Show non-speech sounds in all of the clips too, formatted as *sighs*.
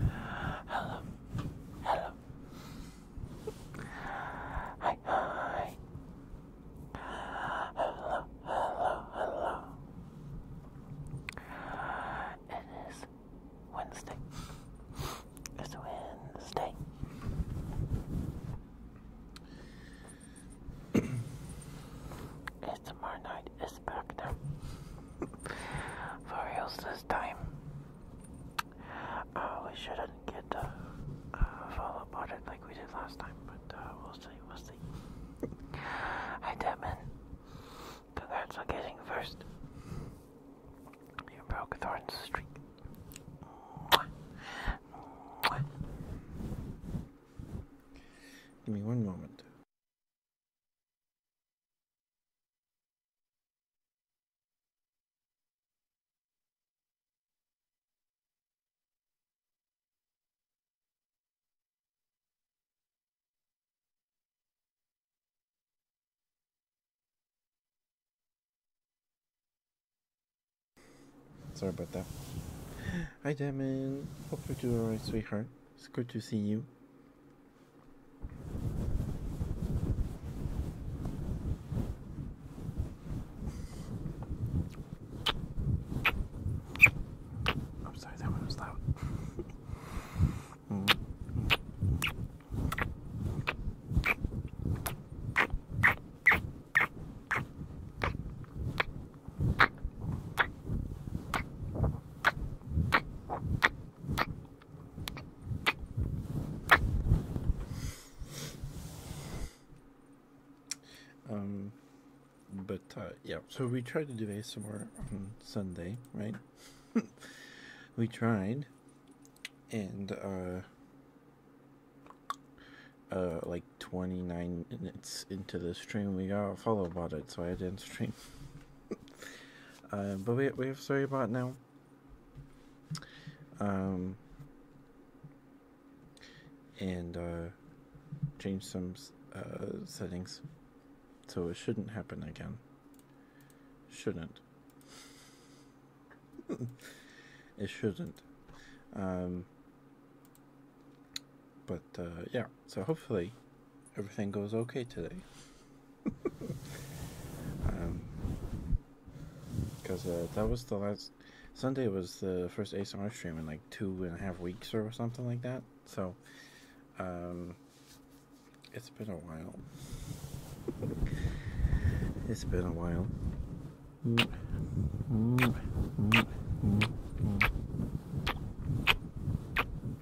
Hello, hello. Hi, hi. Hello, hello, hello. It is Wednesday. It's Wednesday. it's tomorrow night. It's back now. For reals this time. Uh, we shouldn't get a uh, uh follow up it like we did last time, but uh, we'll see, we'll see. Hi, Devin. Congrats on getting first. You broke Thorn's streak. Mwah. Give me one moment. Sorry about that. Hi, Damon. Hope you're doing alright, sweetheart. It's good to see you. I'm sorry, that one was loud. Um, but uh, yeah, so we tried to do ASMR on Sunday, right? *laughs* we tried, and uh, uh, like 29 minutes into the stream, we got followed about it, so I didn't stream. *laughs* Um, but we we have about now. Um, and change uh, some uh, settings, so it shouldn't happen again. Shouldn't. *laughs* it shouldn't. Um, but uh, yeah, so hopefully everything goes okay today. Because *laughs* um, uh, that was the last. Sunday was the first ASMR stream in like two and a half weeks or something like that. So, um, it's been a while. it's been a while. Mm-hmm. Mm-hmm. Mm-hmm.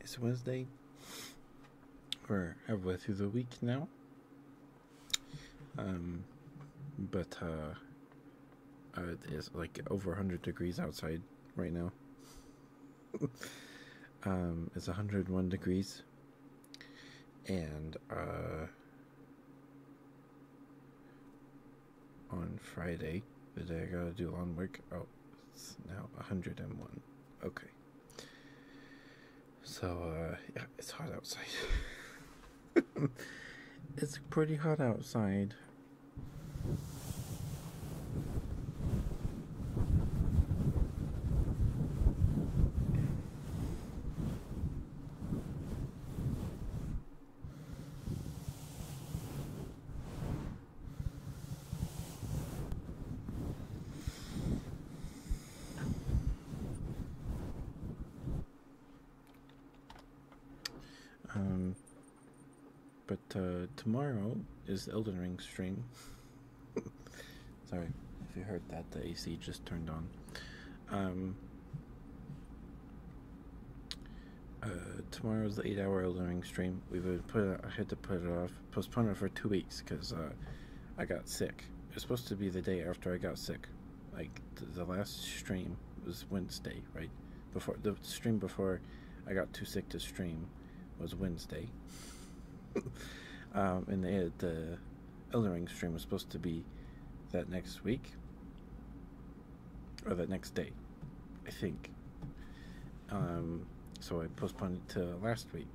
It's Wednesday. We're halfway through the week now. Um, but uh, uh it is like over 100 degrees outside right now. *laughs* um, it's 101 degrees, and uh, on Friday the day I gotta do lawn work. Oh, it's now 101. Okay. So, uh, yeah, it's hot outside. *laughs* it's pretty hot outside. Um, but uh, tomorrow is Elden Ring stream. *laughs* Sorry if you heard that, the AC just turned on. Um, uh, tomorrow's the eight-hour Eldering stream. We would put I had to put it off, postpone it for two weeks because uh, I got sick. It was supposed to be the day after I got sick. Like the last stream was Wednesday, right? Before the stream before I got too sick to stream was Wednesday. *laughs* um, and the, the uh, Elden stream was supposed to be that next week or the next day, I think. Um, so I postponed it to last week,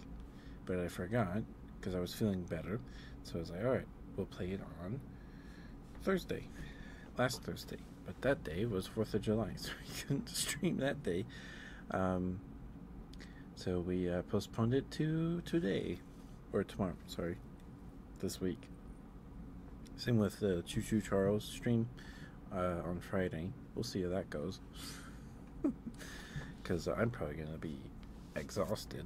but I forgot because I was feeling better. So I was like, all right, we'll play it on Thursday, last Thursday. But that day was 4th of July, *laughs* so we couldn't *laughs* stream that day. Um, so we uh, postponed it to today or tomorrow, sorry, this week. Same with the Choo Choo Charles stream uh, on Friday. We'll see how that goes. Because *laughs* I'm probably going to be exhausted.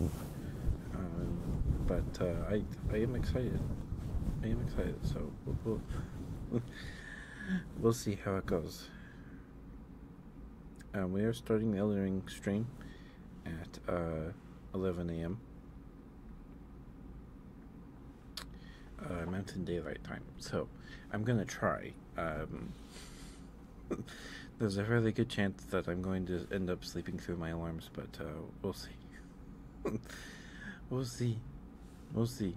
Um, but uh, I, I am excited. I am excited, so we'll, we'll, *laughs* see how it goes. Uh, we are starting the Eldering stream at 11 a.m. Uh, Mountain Daylight Time. So I'm going to try. Um, *laughs* there's a fairly good chance that I'm going to end up sleeping through my alarms, but uh, *laughs* we'll see. we'll see. We'll see.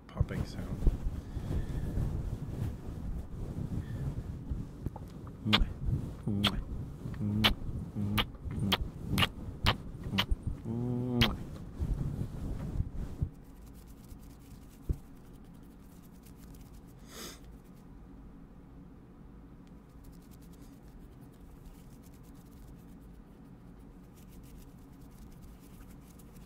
the popping sound.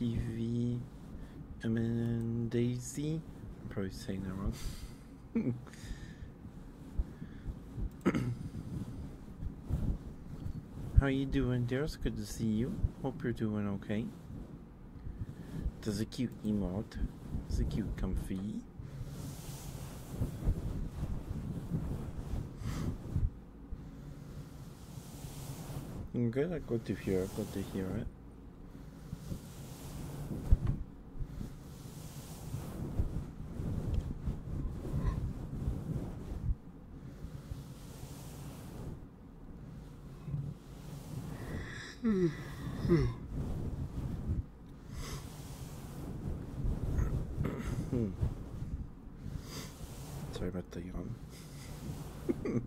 PV, I Daisy. I'm probably saying that wrong. *coughs* How are you doing, Darius? Good to see you. Hope you're doing okay. Does a cute emote. Does a cute comfy. Good, I got to hear it, got to hear it. Hmm. -hmm. Sorry about the yawn. *laughs*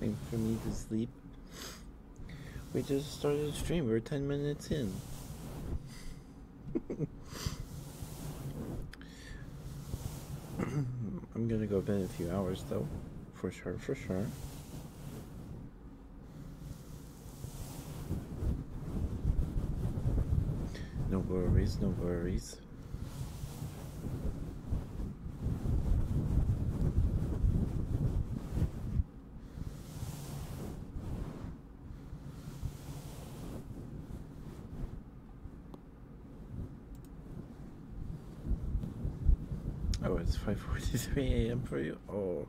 Time for me to sleep. We just started stream. We're 10 minutes in. *laughs* I'm gonna go bed in a few hours though. For sure, for sure. No worries, no worries. Oh, it's 5.43 a.m. for you? Oh.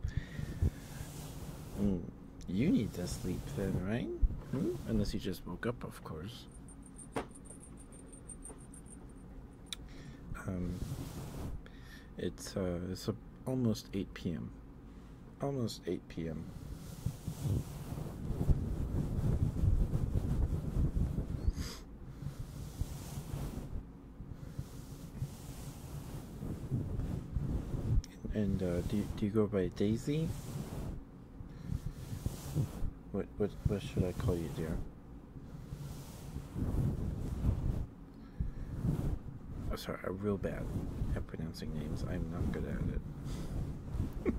Hmm. You need to sleep then, right? Hmm? Unless you just woke up, of course. Um, it's uh, it's almost 8 p.m. Almost 8 p.m. And uh, do you, do you go by Daisy? What what what should I call you, dear? I'm oh, sorry, I'm real bad at pronouncing names. I'm not good at it.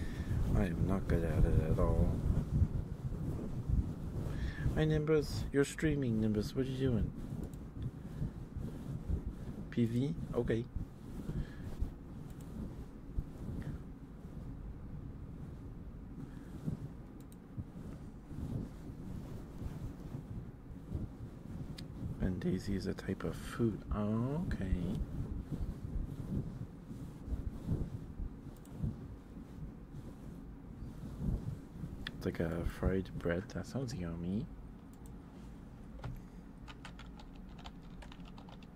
*laughs* I am not good at it at all. My Nimbus. You're streaming, Nimbus. What are you doing? PV? Okay. And daisy is a type of food. okay. It's like a fried bread. That sounds yummy.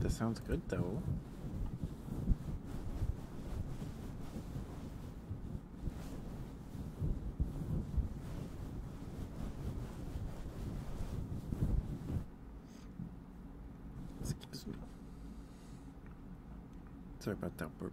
This sounds good though. Sorry about that burp.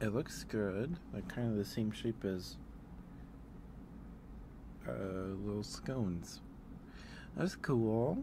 It looks good, like kind of the same shape as uh, little scones. That's cool.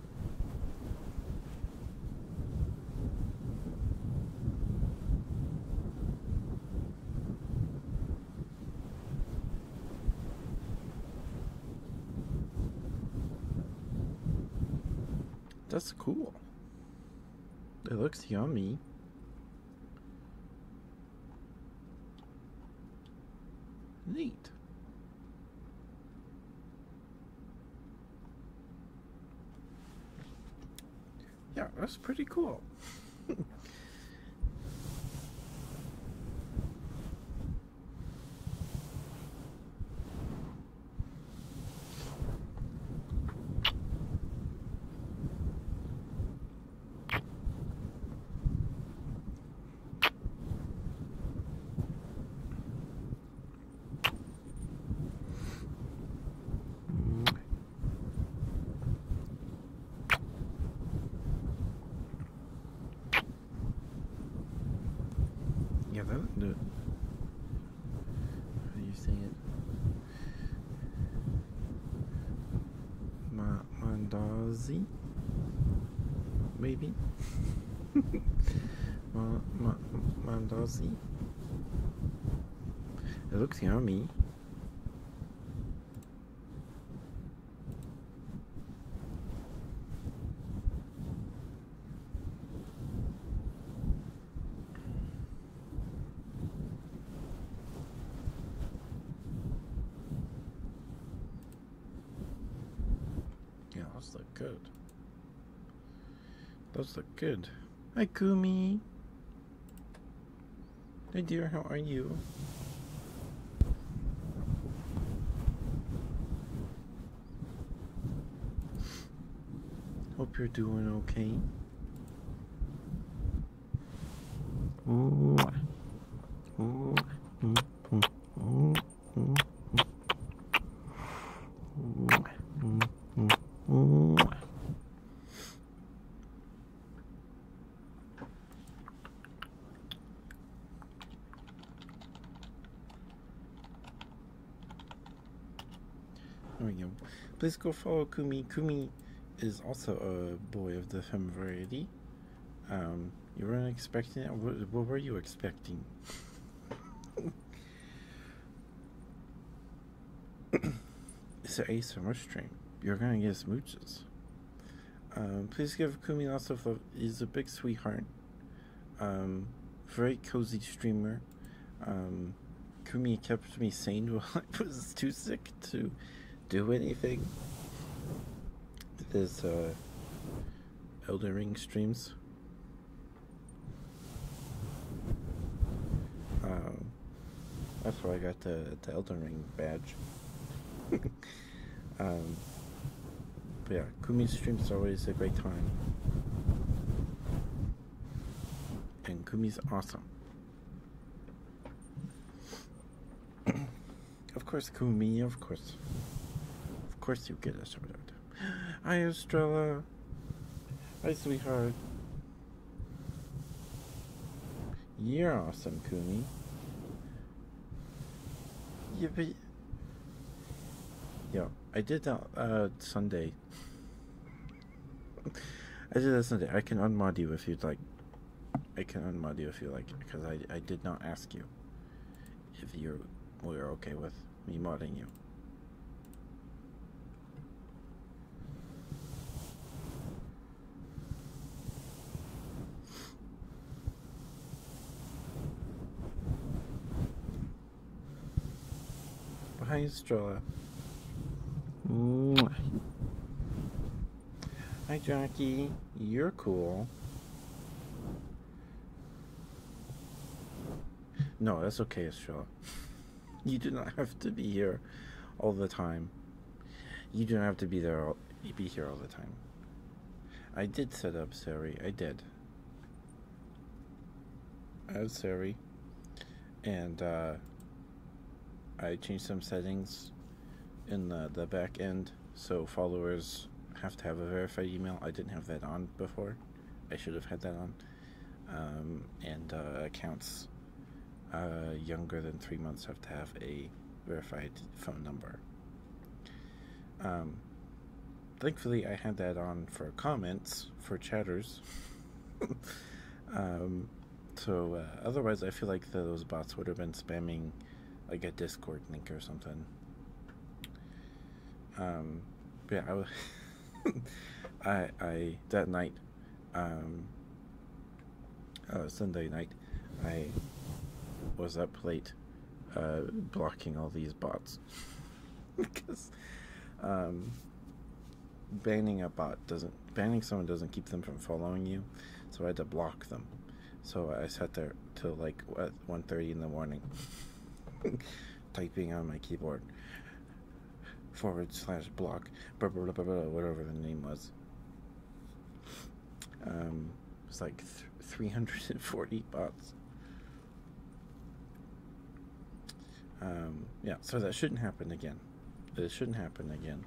That's cool. It looks yummy. Neat. Yeah, that's pretty cool. Yeah, that'll do it. How do you say it? Ma Mandazi? Maybe? *laughs* ma, ma, Mandazi? Look here, me. Yeah, that's look good. Those look good. Hi, Kumi. Hey, dear, how are you? Hope you're doing okay. There we go. Please go follow Kumi. Kumi is also a boy of the femme variety. Um, you weren't expecting it? what were you expecting? *laughs* *coughs* it's an ASMR stream. You're gonna get smooches. Um, please give Kumi lots of love. He's a big sweetheart. Um, very cozy streamer. Um, Kumi kept me sane *laughs* while I was too sick to do anything. With his uh, Elder Ring streams. Um, that's where I got the, Elden Ring badge. *laughs* um, but yeah, Kumi's streams are always a great time. And Kumi's awesome. *clears throat* of course, Kumi, of course. Of course you get a shout out. Hi, Estrella. Hi, sweetheart. You're awesome, Kumi. Yeah, but... yeah, I did that uh, Sunday. I did that Sunday. I can unmod you if you'd like. I can unmod you if you like, because I, I did not ask you if you were okay with me modding you. Behind stroller. Mwah. Hi, Jockey. You're cool. No, that's okay, Estrella. You do not have to be here all the time. You do not have to be there. All, be here all the time. I did set up Siri. I did. I have Siri, and uh, I changed some settings in the, the back end so followers have to have a verified email. I didn't have that on before. I should have had that on. Um, and uh, accounts uh, younger than three months have to have a verified phone number. Um, thankfully, I had that on for comments for chatters. *laughs* um, so uh, otherwise, I feel like those bots would have been spamming like a Discord link or something. Um, yeah, I was. *laughs* *laughs* I, I that night, um, uh, Sunday night, I was up late, uh, blocking all these bots because *laughs* um, banning a bot doesn't banning someone doesn't keep them from following you, so I had to block them. So I sat there till like at 1.30 in the morning, *laughs* typing on my keyboard forward slash block, whatever the name was. Um, it like 340 bots. Um, yeah, so that shouldn't happen again. This shouldn't happen again.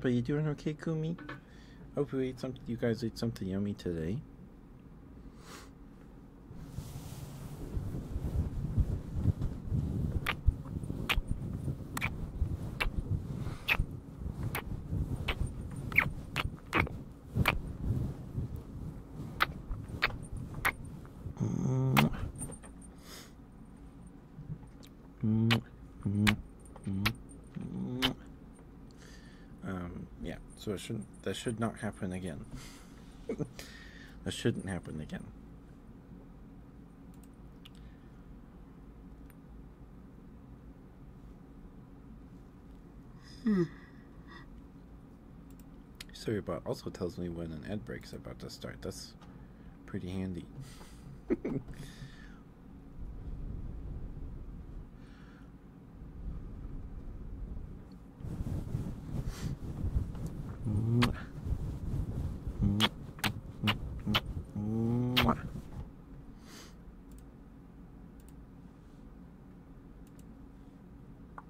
But you doing okay, Kumi? Hope you ate some. You guys ate something yummy today. Um, yeah, so it shouldn't, that should not happen again. *laughs* that shouldn't happen again. Hmm. Sorry SurveyBot also tells me when an ad break is about to start. That's pretty handy. *laughs*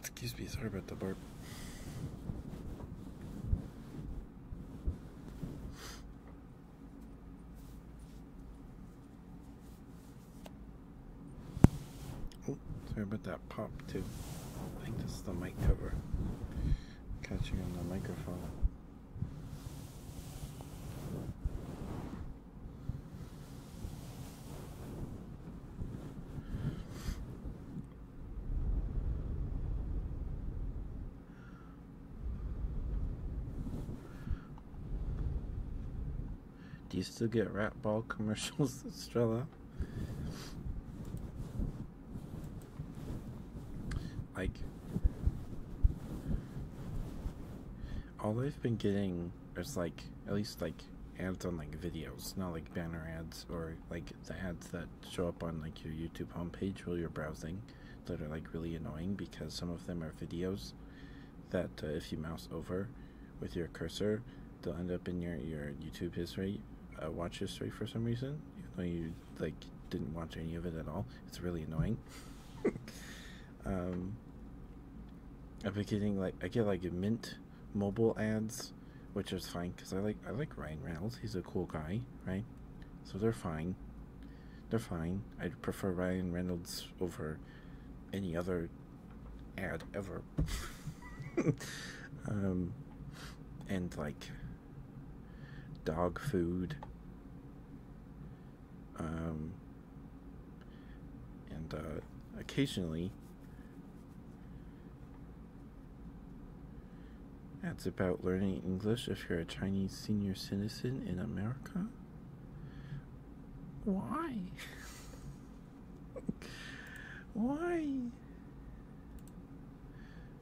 Excuse me, sorry about the burp. Oh, sorry about that pop too. I think this is the mic cover catching on the microphone. Do you still get rat ball *laughs* commercials, Estrella? Like, all I've been getting is like, at least like ads on like videos, not like banner ads or like the ads that show up on like your YouTube homepage while you're browsing that are like really annoying because some of them are videos that uh, if you mouse over with your cursor, they'll end up in your, your YouTube history, uh, watch history for some reason, even though you like didn't watch any of it at all. It's really annoying i *laughs* am um, been getting like I get like Mint mobile ads, which is fine because I like I like Ryan Reynolds. He's a cool guy, right? So they're fine. They're fine. i prefer Ryan Reynolds over any other ad ever. *laughs* Um, and like dog food um, and uh, occasionally, that's about learning English if you're a Chinese senior citizen in America. Why? *laughs* why?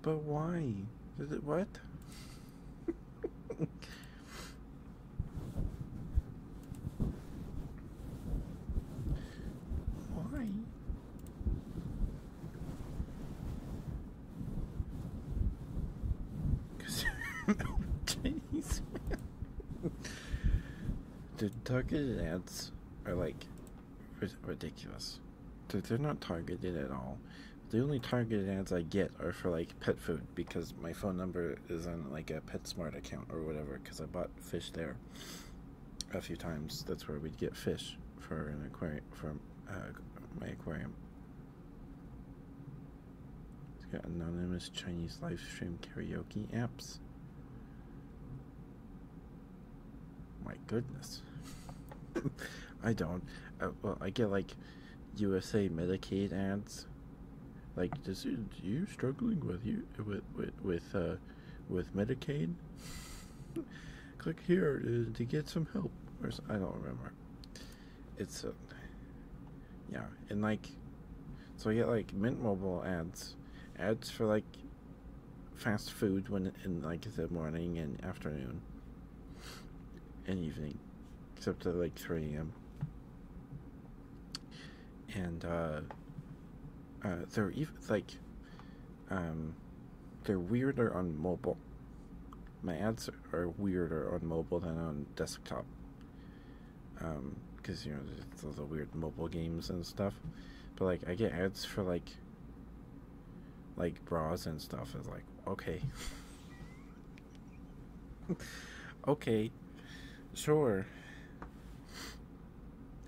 But why? Did it what? *laughs* Why? Because Chinese The targeted ads are like ridiculous. They're not targeted at all. The only targeted ads I get get are for like pet food because my phone number is on like a PetSmart account or whatever because I bought fish there a few times. That's where we'd get fish for an aquarium for uh, my aquarium. It's got anonymous Chinese live stream karaoke apps. My goodness. *laughs* I don't. Uh, well, I get like USA Medicaid ads. Like, this is you struggling with you with with with uh, with Medicaid. *laughs* Click here to, to, get some help. I don't remember. It's uh, yeah, and like, so I get like Mint Mobile ads, ads for like fast food when in like the morning and afternoon and evening it's up to like 3 a.m. And uh, uh, they're even like, um, they're weirder on mobile. My ads are weirder on mobile than on desktop. Um, because you know there's the weird mobile games and stuff. But like I get ads for like like bras and stuff. It's like okay. *laughs* okay, sure.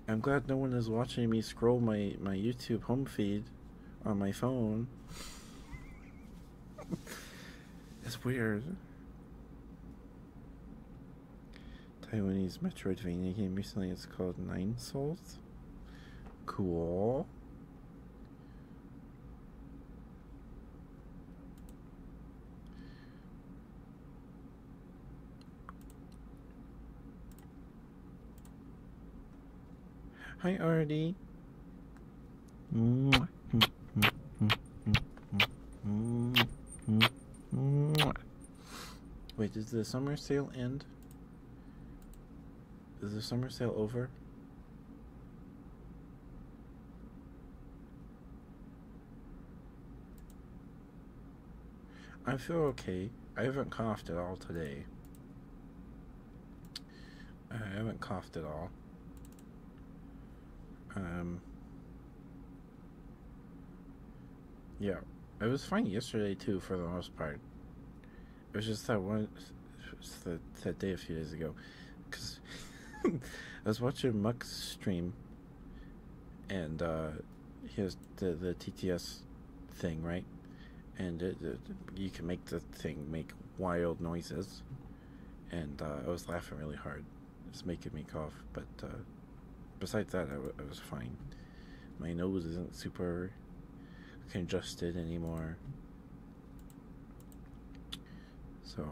I'm glad no one is watching me scroll my, my YouTube home feed on my phone. *laughs* it's weird. Taiwanese Metroidvania game recently, it's called Nine Souls. Cool. Hi, Artie. Mwah. Wait, does the summer sale end? Is the summer sale over? I feel okay. I haven't coughed at all today. I haven't coughed at all. Um, yeah, I was fine yesterday too for the most part. It was just that one, that, that day a few days ago, because *laughs* I was watching Mux stream, and uh, here's the the TTS thing right, and you can make the thing make wild noises, and uh, I was laughing really hard. It's making me cough, but uh, besides that, I was fine. My nose isn't super congested anymore. So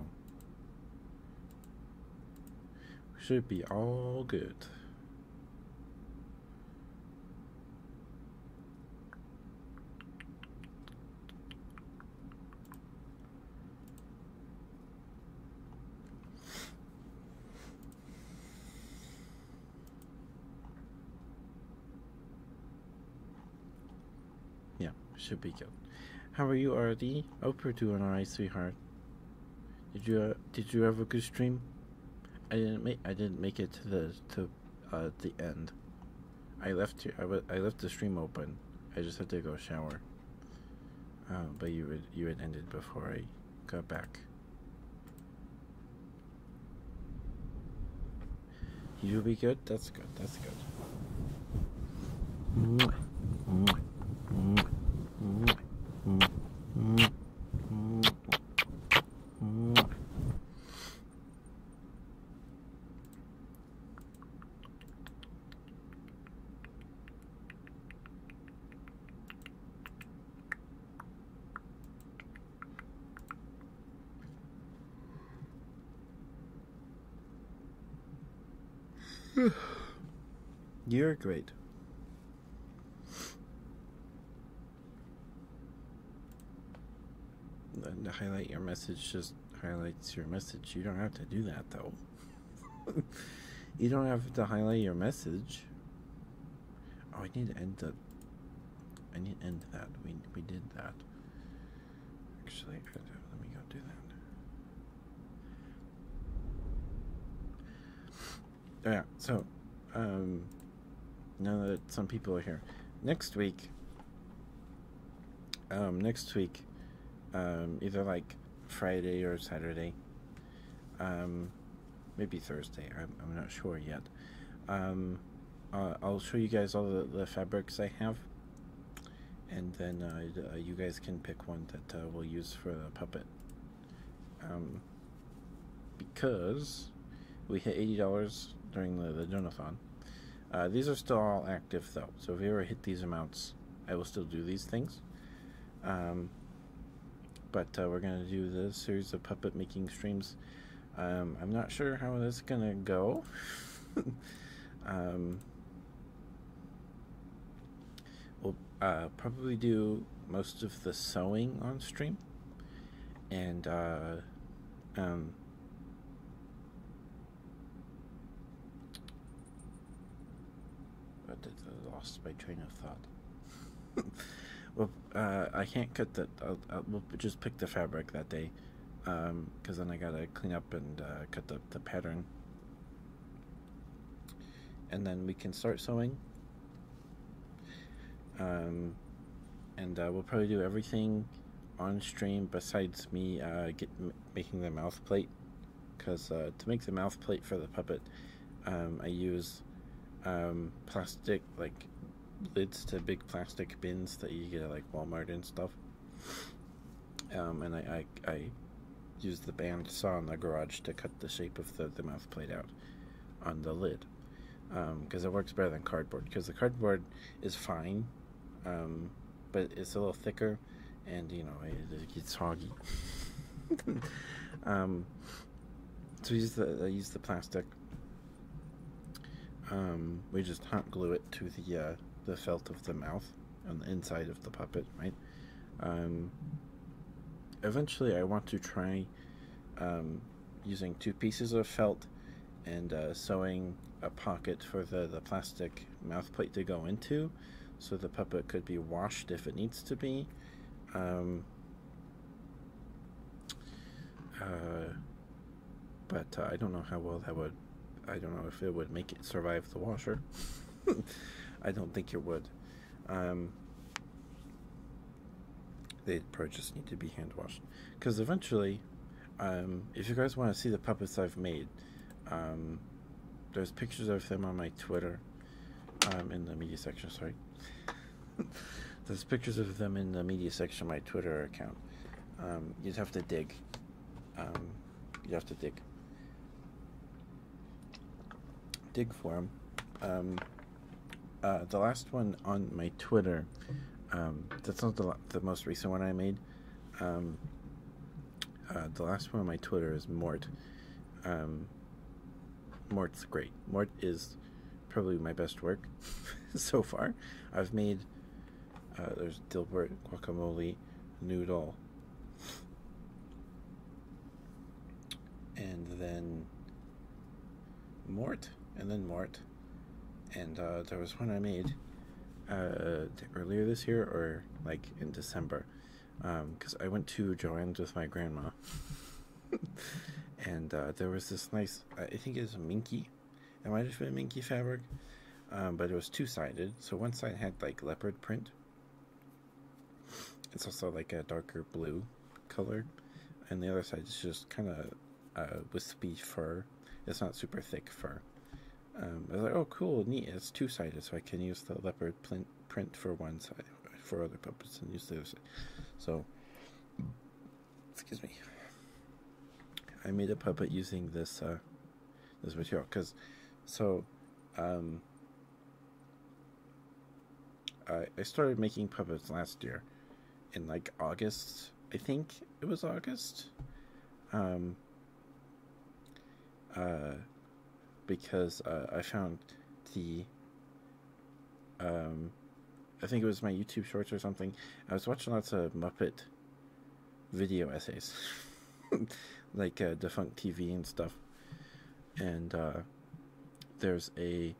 we should be all good. Yeah, should be good. How are you, Artie? Hope you're doing alright, sweetheart. Did you uh, did you have a good stream? I didn't make I didn't make it to the to uh, the end. I left here. I, w I left the stream open. I just had to go shower. Uh, but you would you had ended before I got back. You'll be good? That's good. That's good. *sighs* You're great. And highlight your message just highlights your message. You don't have to do that though. *laughs* you don't have to highlight your message. Oh, I need to end that. I need to end that. We we did that. Actually, let me go do that. Oh, yeah, so, um, now that some people are here, next week, um, next week, um, either like Friday or Saturday, um, maybe Thursday, I'm, I'm not sure yet. Um, uh, I'll show you guys all the fabrics I have and then uh, uh, you guys can pick one that uh, we'll use for the puppet. Um, because we hit $80 during the, the donathon. these are still all active though, so if you ever hit these amounts, I will still do these things. Um, but we're going to do this series of puppet making streams. Um, I'm not sure how this is going to go. *laughs* We'll uh, probably do most of the sewing on stream, and uh, um, I lost by train of thought. *laughs* well, uh, I can't cut the. I'll, we'll just pick the fabric that day because um, then I gotta clean up and uh, cut the, the pattern. And then we can start sewing. Um, and uh, we'll probably do everything on stream besides me uh, get, making the mouth plate. Because uh, to make the mouth plate for the puppet, um, I use um, plastic, like lids to big plastic bins that you get like Walmart and stuff. Um, and I, I, I used the bandsaw in the garage to cut the shape of the, the mouth plate out on the lid because um, it works better than cardboard because the cardboard is fine um, but it's a little thicker and you know it, gets hoggy *laughs* so we use the, I use the plastic we just hot glue it to the uh, the felt of the mouth on the inside of the puppet, right? Um, eventually, I want to try um, using two pieces of felt and uh, sewing a pocket for the, the plastic mouth plate to go into so the puppet could be washed if it needs to be. Um, uh, but uh, I don't know how well that would. I don't know if it would make it survive the washer. *laughs* I don't think it would. Um, they probably just need to be hand washed. Because eventually, um, if you guys want to see the puppets I've made, um, there's pictures of them on my Twitter, um, in the media section, sorry. *laughs* there's pictures of them in the media section of my Twitter account. you'd have to dig um, you have to dig. Dig for them. Um, uh, the last one on my Twitter, um, that's not the, the most recent one I made. Uh, the last one on my Twitter is Mort. Mort's great. Mort is probably my best work *laughs* so far. I've made uh, there's Dilbert, guacamole, noodle. And then Mort, and then Mort. And uh, there was one I made uh, earlier this year or like in December. Because um, I went to Joanne's with my grandma. *laughs* and uh, there was this nice, I think it was a minky it might have been minky fabric, um, but it was two sided. So one side had like leopard print. It's also like a darker blue colored, and the other side is just kind of uh, wispy fur. It's not super thick fur. Um, I was like, oh, cool, neat. It's two sided, so I can use the leopard print print for one side for other puppets and use the other side. So, excuse me. I made a puppet using this uh, this material because so um, I, I started making puppets last year in like August I think it was August um, uh, because uh, I found the um, I think it was my YouTube shorts or something I was watching lots of Muppet video essays, *laughs* like uh, Defunct TV and stuff. And uh, there's a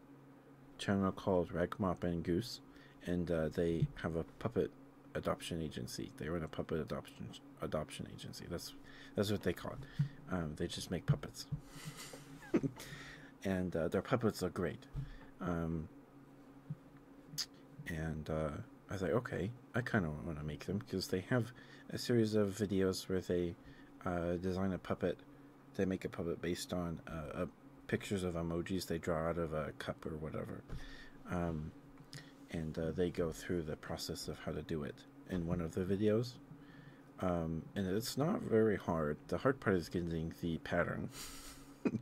channel called Rag Mop and Goose, and uh, they have a puppet adoption agency. They run a puppet adoption adoption agency. That's that's what they call it. Um, they just make puppets, *laughs* and their puppets are great. Um, and I was like, okay, I kind of want to make them because they have a series of videos where they uh, design a puppet. They make a puppet based on uh, pictures of emojis they draw out of a cup or whatever. Um, and uh, they go through the process of how to do it in one of the videos. Um, and it's not very hard. The hard part is getting the pattern. *laughs*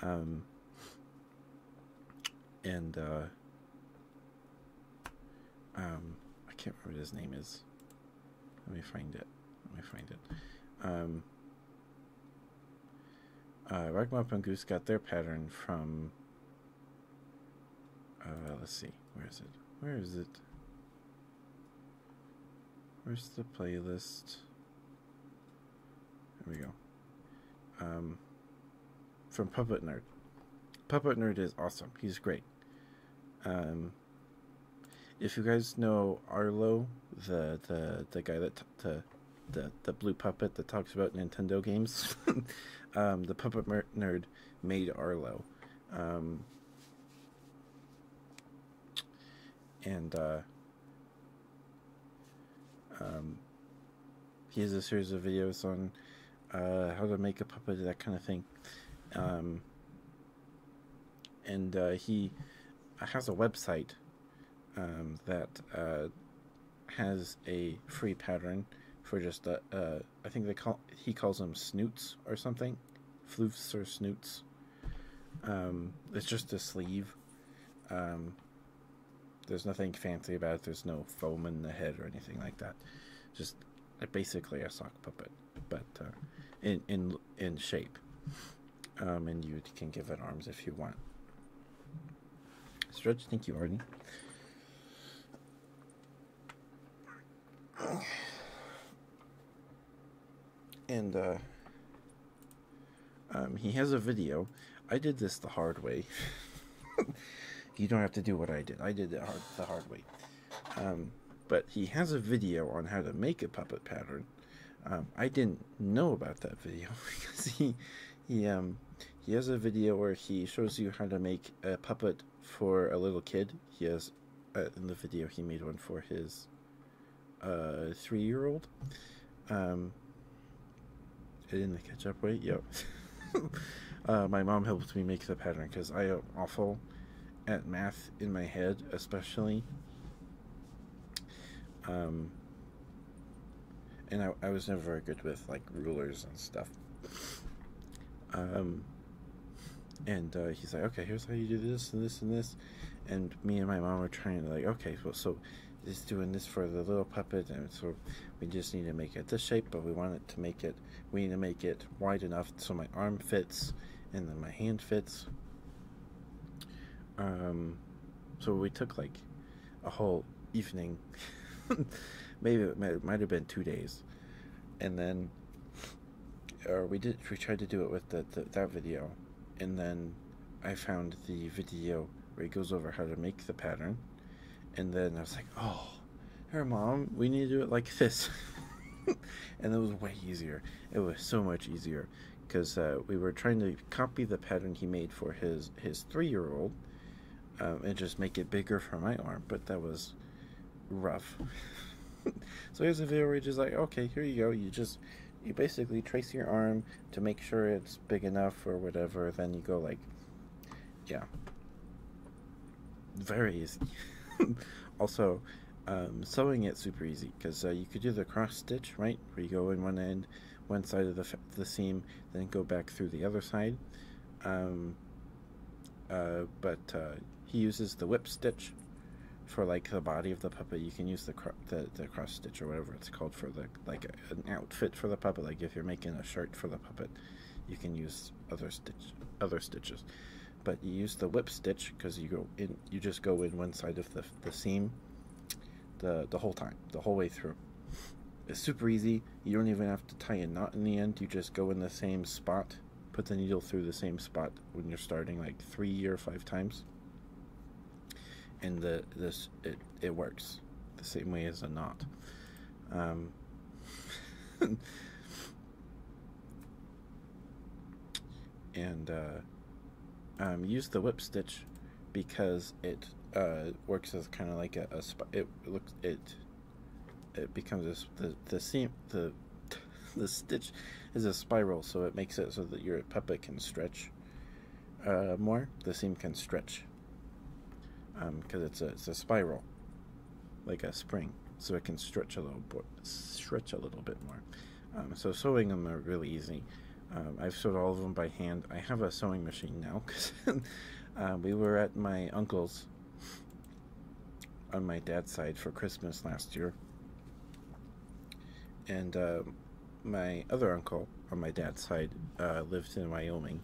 Um, and uh, um, I can't remember what his name is. Let me find it. Let me find it. Um, uh, Ragmup and Goose got their pattern from. Uh, let's see. Where is it? Where is it? Where's the playlist? There we go. Um, from Puppet Nerd. Puppet Nerd is awesome. He's great. Um, if you guys know Arlo, the the the guy that the the blue puppet that talks about Nintendo games, *laughs* um, the Puppet Nerd made Arlo. Um, and uh, um, he has a series of videos on uh, how to make a puppet, that kind of thing. Um, and uh, he has a website um, that uh, has a free pattern for just the, I think they call he calls them snoots or something, floofs or snoots. it's just a sleeve, there's nothing fancy about it. There's no foam in the head or anything like that. Just basically a sock puppet, but uh, in in in shape. Um, and you can give it arms if you want. Stretch, thank you, Arden. And uh, um, he has a video. I did this the hard way. *laughs* *laughs* you don't have to do what I did. I did it hard, the hard way. Um, but he has a video on how to make a puppet pattern. Um, I didn't know about that video *laughs* because he he um he has a video where he shows you how to make a puppet for a little kid. He has uh, in the video he made one for his uh, three year old. Um, in the ketchup way. Yep. *laughs* Uh, my mom helped me make the pattern because I am awful at math in my head, especially. Um, and I, I was never very good with like rulers and stuff. Um, and uh, he's like, okay, here's how you do this and this and this. And me and my mom are trying to like, okay, well, so is doing this for the little puppet and so we just need to make it this shape but we want it to make it we need to make it wide enough so my arm fits and then my hand fits um, so we took like a whole evening *laughs* maybe it might, might have been two days and then or we did we tried to do it with the, the that video and then I found the video where it goes over how to make the pattern and then I was like, oh, her mom, we need to do it like this. *laughs* and it was way easier. It was so much easier because uh, we were trying to copy the pattern he made for his, his three year old um, and just make it bigger for my arm, but that was rough. *laughs* so here's a video where you just like, okay, here you go. You just, you basically trace your arm to make sure it's big enough or whatever, then you go like, yeah, very easy. *laughs* also, um, sewing it super easy because uh, you could do the cross stitch, right, where you go in one end, one side of the the seam, then go back through the other side. Um, uh, but uh, he uses the whip stitch for like the body of the puppet. You can use the the, the cross stitch or whatever it's called for the like an outfit for the puppet. Like if you're making a shirt for the puppet, you can use other stitch, other stitches. But you use the whip stitch because you go in, you just go in one side of the, the seam, the the whole time, the whole way through. It's super easy. You don't even have to tie a knot in the end. You just go in the same spot, put the needle through the same spot when you're starting like three or five times. And the this it, it works the same way as a knot. Um, *laughs* and uh, um, use the whip stitch because it uh, works as kind of like a, a it looks it it becomes this the the seam the the stitch is a spiral so it makes it so that your puppet can stretch uh, more the seam can stretch because um, it's a it's a spiral, like a spring, so it can stretch a little stretch a little bit more. Um, so sewing them are really easy. Um, I've sewed all of them by hand. I have a sewing machine now because *laughs* uh, we were at my uncle's on my dad's side for Christmas last year, and uh, my other uncle on my dad's side uh, lived in Wyoming,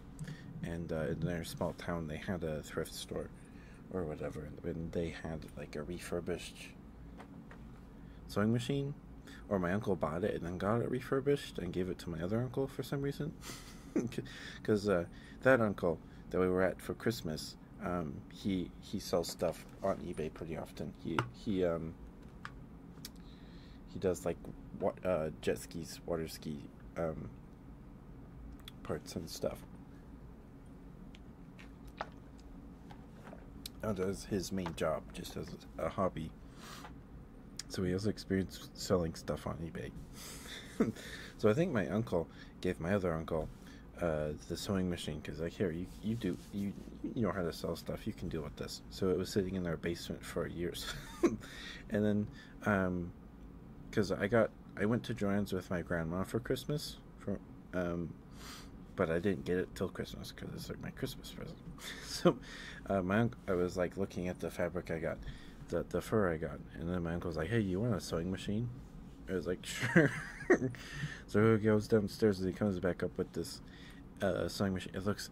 and uh, in their small town they had a thrift store, or whatever, and they had like a refurbished sewing machine, or my uncle bought it and then got it refurbished and gave it to my other uncle for some reason, because *laughs* uh, that uncle that we were at for Christmas, um, he he sells stuff on eBay pretty often. He he um he does like what uh, jet skis, water skis, um, parts and stuff. That was his main job, just as a hobby. So he also experienced selling stuff on eBay. *laughs* so I think my uncle gave my other uncle uh, the sewing machine because like here you you do you you know how to sell stuff you can deal with this so it was sitting in their basement for years *laughs* and then because um, I got I went to Joanne's with my grandma for Christmas, for, um, but I didn't get it till Christmas because it's like my Christmas present. *laughs* so uh, my uncle, I was like looking at the fabric I got, the the fur I got, and then my uncle was like, "Hey, you want a sewing machine?" I was like, *laughs* "Sure." so he goes downstairs and he comes back up with this uh, sewing machine. It looks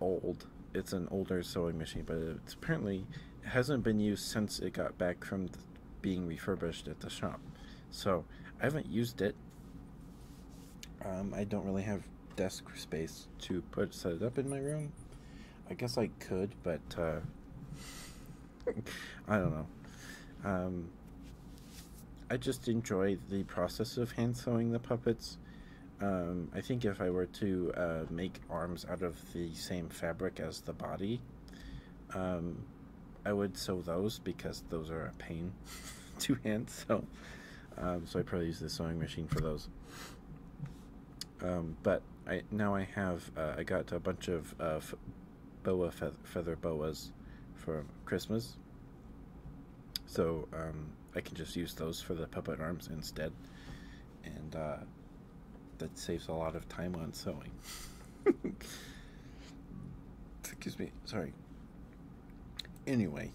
old. It's an older sewing machine, but it's apparently hasn't been used since it got back from being refurbished at the shop. So I haven't used it. Um, I don't really have desk space to put set it up in my room. I guess I could, but uh, *laughs* I don't know. Um, I just enjoy the process of hand sewing the puppets. Um, I think if I were to uh, make arms out of the same fabric as the body, um, I would sew those because those are a pain *laughs* to hand sew. Um, so I probably use the sewing machine for those. Um, but I now I have uh, I got a bunch of uh, boa feather, feather boas for Christmas. So um, I can just use those for the puppet arms instead. And uh, that saves a lot of time on sewing. *laughs* Excuse me, sorry. Anyway,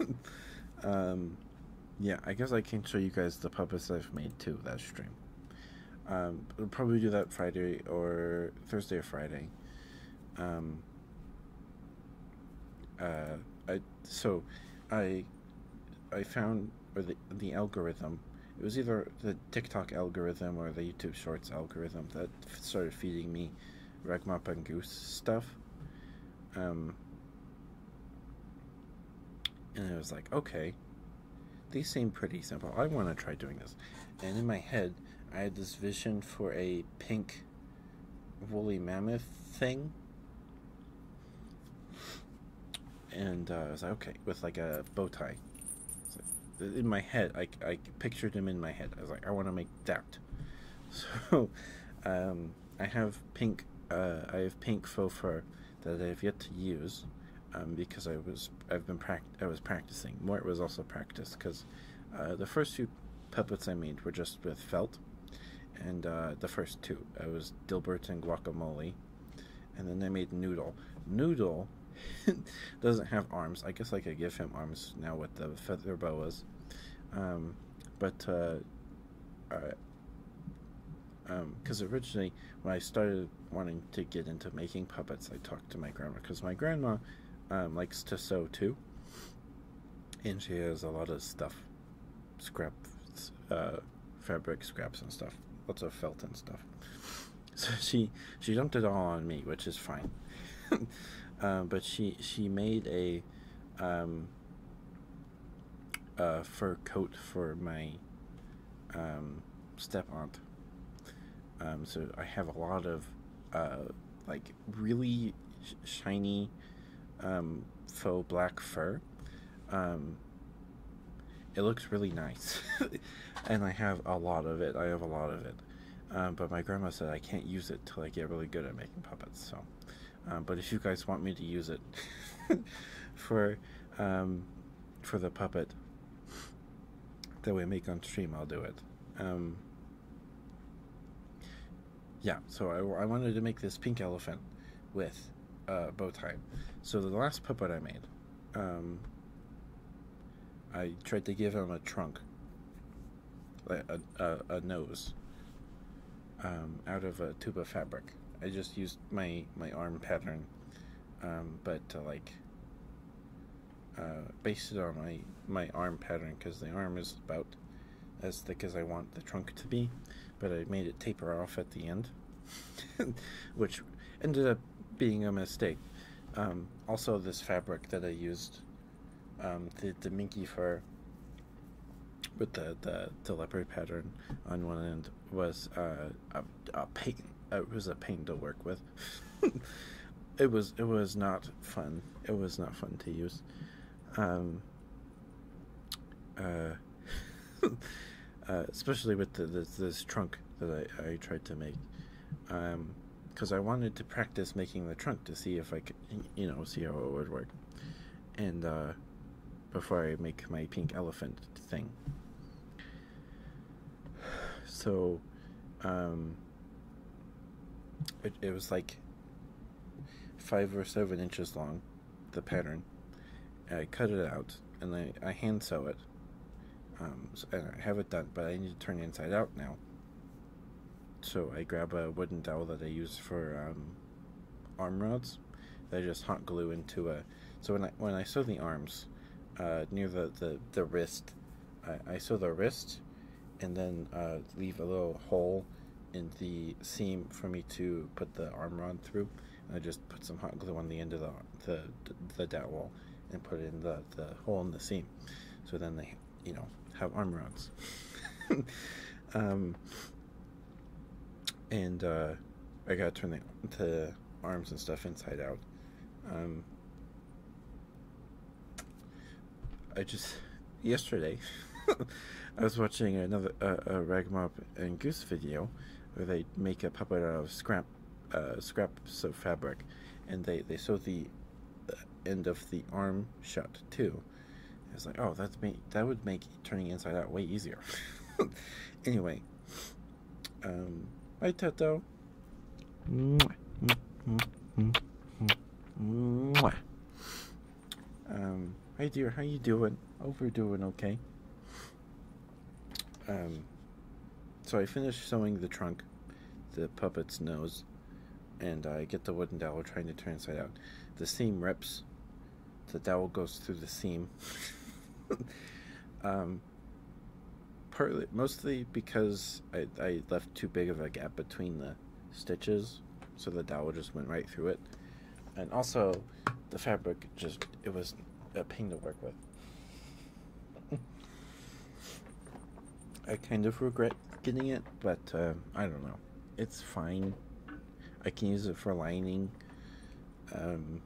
*laughs* um, yeah, I guess I can show you guys the puppets I've made too that stream. Um, I'll probably do that Friday or Thursday or Friday. Um, uh, I so I I found or the the algorithm. It was either the TikTok algorithm or the YouTube Shorts algorithm that started feeding me and goose stuff. Um, and I was like, okay, these seem pretty simple. I want to try doing this. And in my head, I had this vision for a pink woolly mammoth thing and uh, I was like, okay, with like a bow tie. in my head, I, I pictured him in my head. I was like, I want to make that. *laughs* So um, I have pink, uh, I have pink faux fur that I have yet to use. Um, because I was I've been pract- I was practicing. More it was also practice because uh, the first few puppets I made were just with felt, and uh, the first two. It was Dilbert and guacamole, and then they made Noodle. Noodle *laughs* doesn't have arms. I guess I could give him arms now with the feather boas, um, but uh, because uh, um, originally when I started wanting to get into making puppets, I talked to my grandma because my grandma um, likes to sew too, and she has a lot of stuff scrap uh, fabric scraps and stuff, lots of felt and stuff. *laughs* So she she dumped it all on me, which is fine. *laughs* Uh, but she she made a um, Uh, fur coat for my um, step aunt. Um, so I have a lot of uh, like really shiny um, faux black fur. Um, it looks really nice, *laughs* and I have a lot of it. I have a lot of it, um, but my grandma said I can't use it till I get really good at making puppets. So, um, but if you guys want me to use it *laughs* for um, for the puppet that we make on stream, I'll do it. Um, yeah, so I wanted to make this pink elephant with uh, bow tie, So the last puppet I made, um, I tried to give him a trunk, like a, a, nose, um, out of a tube of fabric. I just used my, my arm pattern, um, but like uh, based on my, my arm pattern because the arm is about as thick as I want the trunk to be, but I made it taper off the end, *laughs* which ended up being a mistake. Um, also, this fabric that I used, um, the, the minky fur with the, the, leopard pattern on one end, was uh, a, pain. Uh, it was a pain to work with. *laughs* it was it was not fun. It was not fun to use. Um, uh, *laughs* uh, especially with the, this, this trunk that I, I tried to make, because um, I wanted to practice making the trunk to see if I could, you know, see how it would work, and uh, before I make my pink elephant thing. *sighs* So, um, it, it was like five or seven inches long the pattern. I cut it out and I, I hand sew it. Um, so, and I have it done, but I need to turn it inside out now. So I grab a wooden dowel that I use for um, arm rods I just hot glue into a. So when I when I sew the arms uh, near the, the, the wrist, I, I sew the wrist and then uh, leave a little hole in the seam for me to put the arm rod through. I just put some hot glue on the end of the the the dowel and put it in the the hole in the seam. So then they, you know, have arm rounds. *laughs* um, and uh, I gotta turn the, the arms and stuff inside out. Um, I just yesterday *laughs* I was watching another a rag ragmop and Goose video, where they make a puppet out of scrap uh, scraps of fabric, and they they sew the uh, end of the arm shut too. It's like, oh, that's me. That would make turning inside out way easier. *laughs* anyway, um, bye, Toto. Mwah. Mwah. Um, hey dear, how you doing? Hope doing okay. Um, so I finished sewing the trunk, the puppet's nose, and I get the wooden dowel trying to turn inside out. The seam rips. The dowel goes through the seam. *laughs* um, partly, mostly because I, I left too big of a gap between the stitches, so the dowel just went right through it. And also, the fabric just it was a pain to work with. I kind of regret getting it, but um, I don't know. It's fine. I can use it for lining um,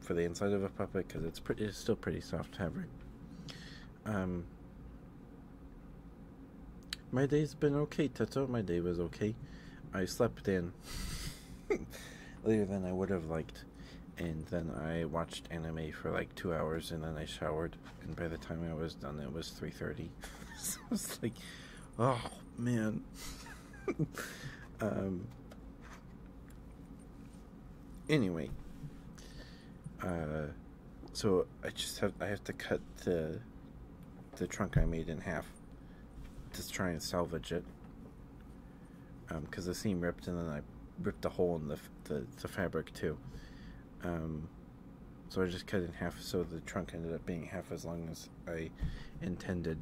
for the inside of a puppet because it's pretty. It's still pretty soft fabric. Um, my day's been okay, Tato. My day was okay. I slept in later *laughs* than I would have liked. And then I watched anime for like two hours, and then I showered. And by the time I was done, it was three thirty. *laughs* so I was like, oh man. *laughs* um. Anyway. Uh, so I just have I have to cut the the trunk I made in half. Just try and salvage it. Because um, the seam ripped, and then I ripped a hole in the, the, fabric too. Um, so I just cut in half, so the trunk ended up being half as long as I intended.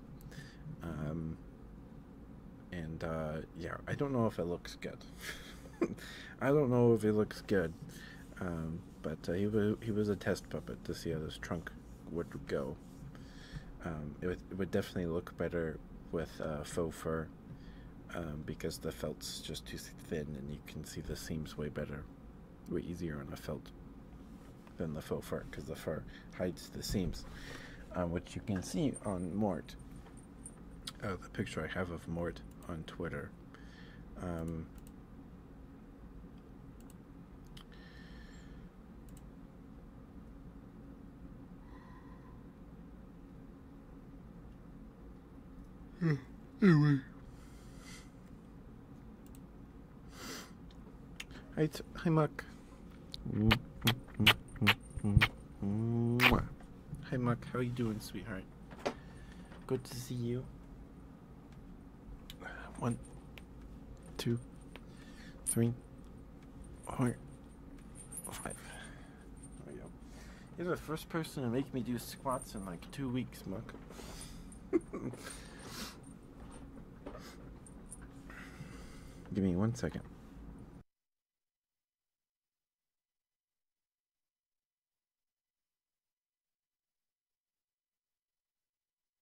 Um, and uh, yeah, I don't know if it looks good. *laughs* I don't know if it looks good, but uh, he was he was a test puppet to see how this trunk would go. Um, it, would, it would definitely look better with uh, faux fur um, because the felt's just too thin and you can see the seams way better, way easier on a felt than the faux fur because the fur hides the seams, uh, which you can see on Mort. Uh, the picture I have of Mort on Twitter. Um, yeah, hmm. anyway. Right, hi Muck. Hi Muck, how are you doing, sweetheart? Good to see you. One, two, three, four, five. There we go. You're the first person to make me do squats in like two weeks, Muck. *laughs* Give me one second.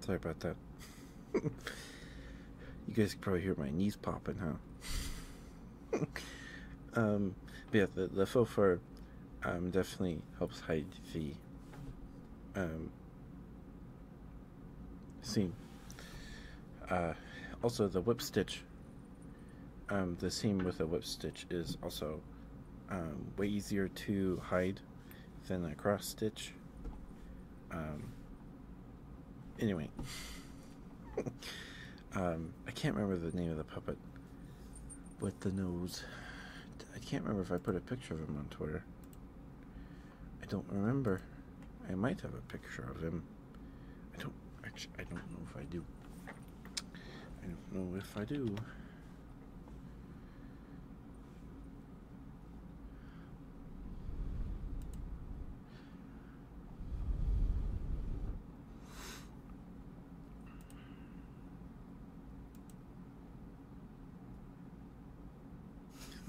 Sorry about that. *laughs* you guys can probably hear my knees popping, huh? *laughs* Um, but yeah, the, the faux fur um, definitely helps hide the um, seam uh, also, the whip stitch, um, the seam with a whip stitch is also um, way easier to hide than a cross stitch. Um, anyway, *laughs* I can't remember the name of the puppet with the nose. I can't remember if I put a picture of him on Twitter. I don't remember. I might have a picture of him. I don't actually, I don't know if I do. I don't know if I do.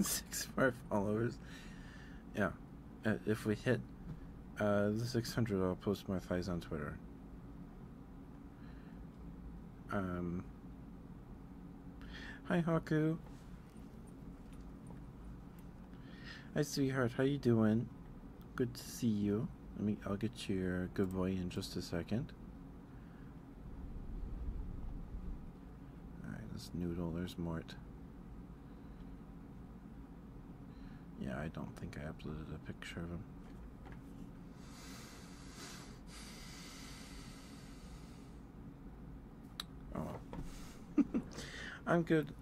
*laughs* Six five followers. Yeah. Uh, if we hit uh, the 600, I'll post my thighs on Twitter. Um, hi, Haku. Hi, sweetheart. How you doing? Good to see you. Let me. I'll get your good boy in just a second. All right, right. Let's noodle. There's Mort. Yeah, I don't think I uploaded a picture of him. Oh, *laughs* I'm good.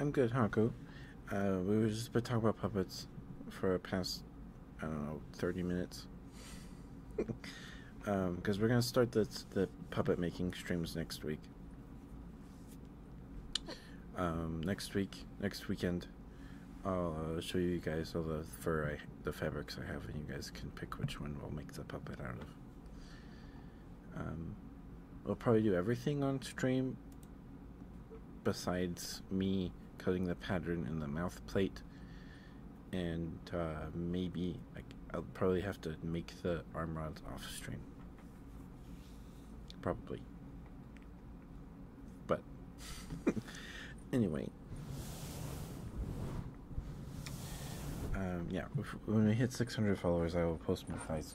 I'm good, Haku. Uh, we were just been talking about puppets for the past, I don't know, 30 minutes. Because *laughs* um, we're going to start the, the puppet making streams next week. Um, next week, next weekend, I'll uh, show you guys all the fur, the fabrics I have, and you guys can pick which one we'll make the puppet out of. Um, we'll probably do everything on stream, besides me cutting the pattern in the mouth plate, and uh, maybe like, I'll probably have to make the arm rods off stream. Probably. But, *laughs* anyway. Um, yeah, when we hit 600 followers, I will post my fights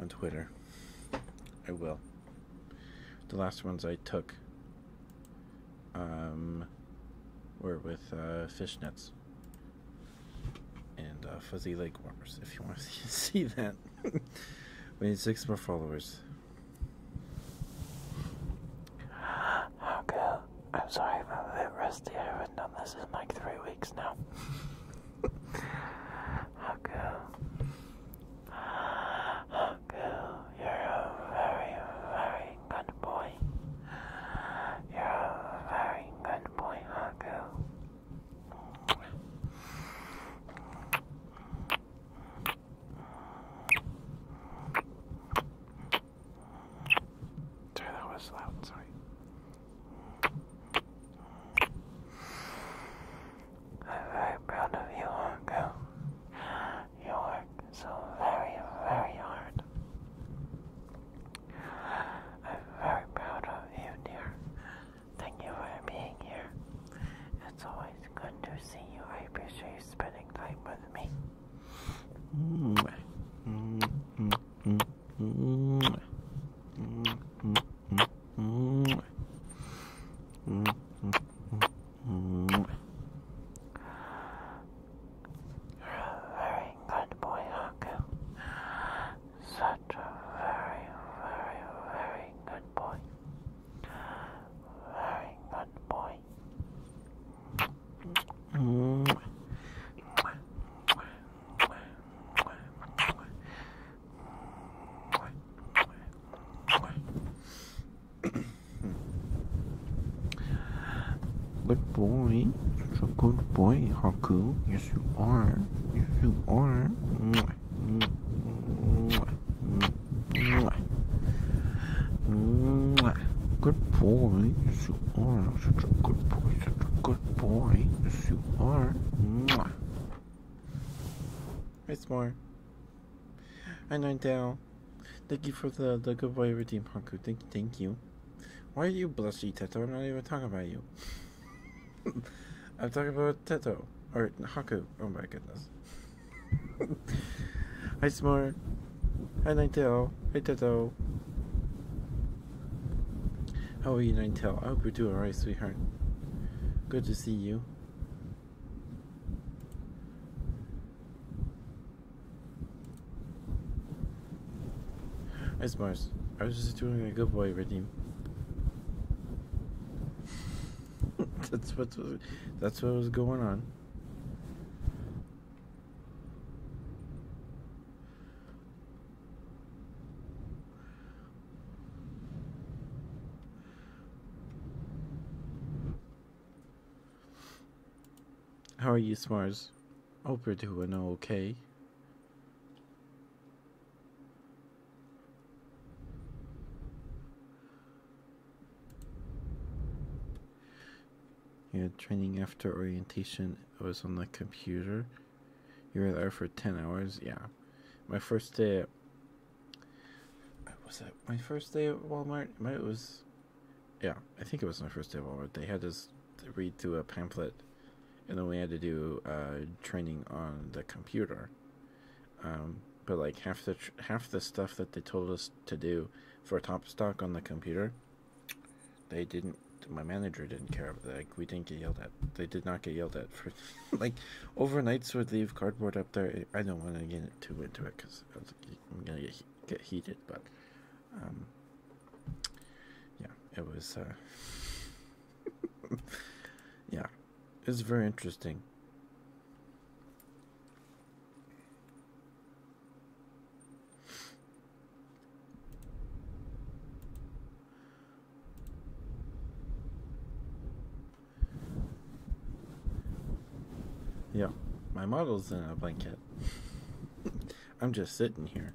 on Twitter. I will. The last ones I took um, were with uh, nets and uh, fuzzy leg warmers if you want to *laughs* see, that. *laughs* we need six more followers. Okay, I'm sorry if I'm a bit rusty. I haven't done this in like three weeks now. How cool. How cool. You're a very, very good boy. You're a very good boy, not go. Sorry, that was loud. Sorry. I'm very proud of you, Hongo. You work so very, very hard. I'm very proud of you, dear. Thank you for being here. It's always good to see you. I appreciate spending time with me. Mm -hmm. Mm -hmm. Mm -hmm. Mm -hmm. Mm -hmm. Mm -hmm. You're a very good boy, Haku. Such a very, very, very good boy. Very good boy. Good boy. Such a good boy, Haku. Yes, you are. Yes, you are. Mwah. Mwah. Mwah. Mwah. Good boy. Yes, you are. Such a good boy. Such a good boy. Yes, you are. Mwah. It's more. I know down. Thank you for the, the good boy routine, Haku. Thank, thank you. Why are you blushy, Teto? I'm not even talking about you. *laughs* I'm talking about Teto. Or Haku. Oh my goodness. *laughs* Hi, Smart. Hi, Ninetale. Hi, Teto. How are you, Ninetale? I hope you're doing alright, sweetheart. Good to see you. It's Mars. I was just doing a good boy redeem. *laughs* that's what that's what was going on. How are you, Smars? Hope you're doing okay. You Your training after orientation was on the computer. You were there for 10 hours? Yeah. My first day at. Was it my first day at Walmart? It was. Yeah, I think it was my first day at Walmart. They had us read through a pamphlet and then we had to do uh, training on the computer. Um, but like half the half the stuff that they told us to do for top stock on the computer, they didn't. My manager didn't care. about Like we didn't get yelled at. They did not get yelled at for *laughs* like overnights would leave cardboard up there. I don't want to get too into it because I'm gonna get, get heated. But um, yeah, it was, uh, *laughs* yeah, it's very interesting. Yeah, my model's in a blanket. *laughs* I'm just sitting here.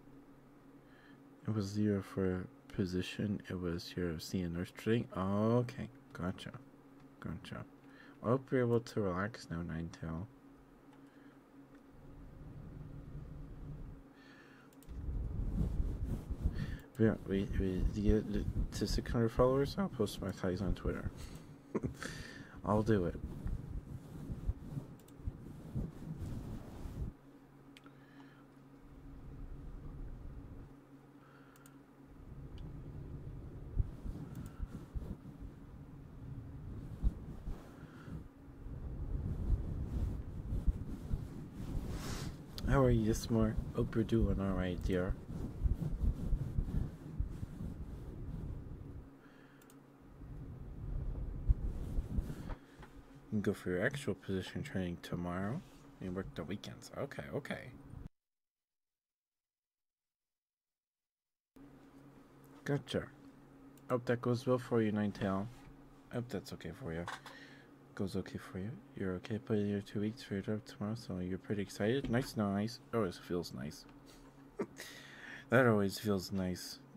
It was zero for position. It was zero C and nurse trading. Okay, gotcha, gotcha. I hope you're able to relax now, Nine Tail. Yeah, we, we get to 600 followers. I'll post my tags on Twitter. *laughs* I'll do it. How are you this morning? Hope you're doing all right, dear. You can go for your actual position training tomorrow and work the weekends. Okay, okay. Gotcha. Hope that goes well for you, Ninetail. I hope that's okay for you. Goes okay for you. You're okay putting your two weeks for your job tomorrow, so you're pretty excited. Nice, nice. Always feels nice. that always feels nice. *laughs*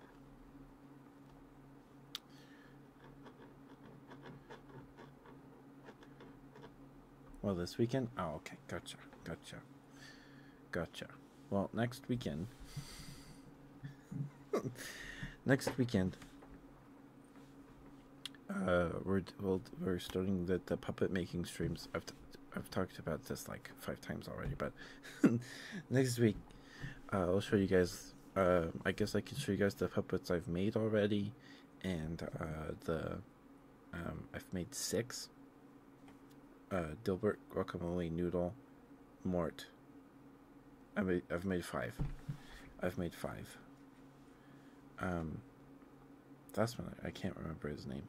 Well, this weekend? Oh, okay. Gotcha. Gotcha. Gotcha. Well, next weekend. *laughs* next weekend. Uh, we're we are starting the, the puppet making streams. I've t I've talked about this like five times already, but *laughs* next week uh, I'll show you guys, uh, I guess I can show you guys the puppets I've made already, and uh, the, um, I've made six. Dilbert, Guacamole, Noodle, Mort. I made, I've made five. I've made five. Um, that's when I can't remember his name.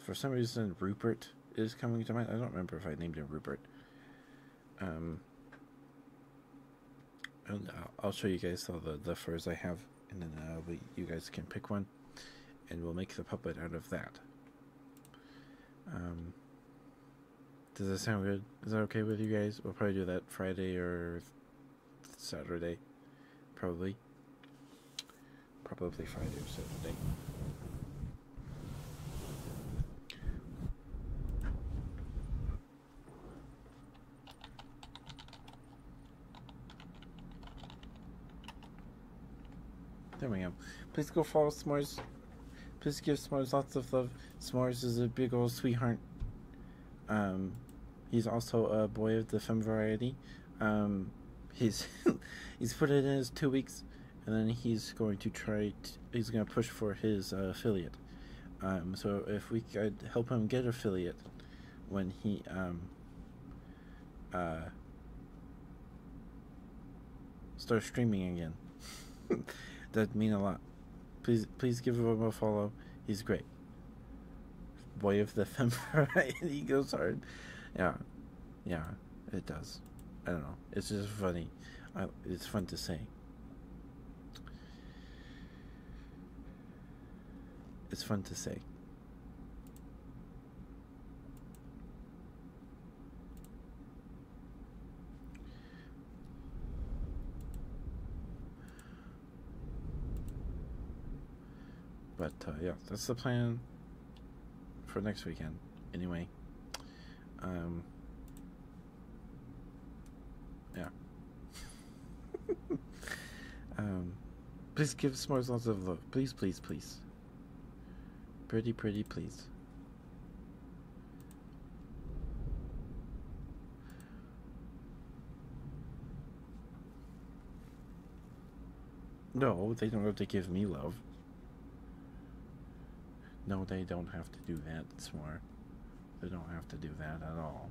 For some reason, Rupert is coming to mind. I don't remember if I named it Rupert. Um, and I'll show you guys all the, the furs I have, and then you guys can pick one, and we'll make the puppet out of that. Um, does that sound good? Is that okay with you guys? We'll probably do that Friday or Saturday, probably. Probably Friday or Saturday. There we go. Please go follow S'mores. Please give S'mores lots of love. S'mores is a big old sweetheart. Um, he's also a boy of the femme variety. Um, he's *laughs* he's put it in his two weeks and then he's going to try. he's going to push for his uh, affiliate. Um, so if we could help him get affiliate when he um, uh, Start streaming again, *laughs* that'd mean a lot. Please, please give him a follow. He's great. Boy of the Fember, *laughs* he goes hard. Yeah, yeah. It does. I don't know. It's just funny. I, it's fun to say. It's fun to say. But uh, yeah, that's the plan for next weekend. Anyway, um, yeah. *laughs* um, please give S'mores lots of love. Please, please, please. Pretty, pretty, please. No, they don't have to give me love. No, they don't have to do that, smart. They don't have to do that at all.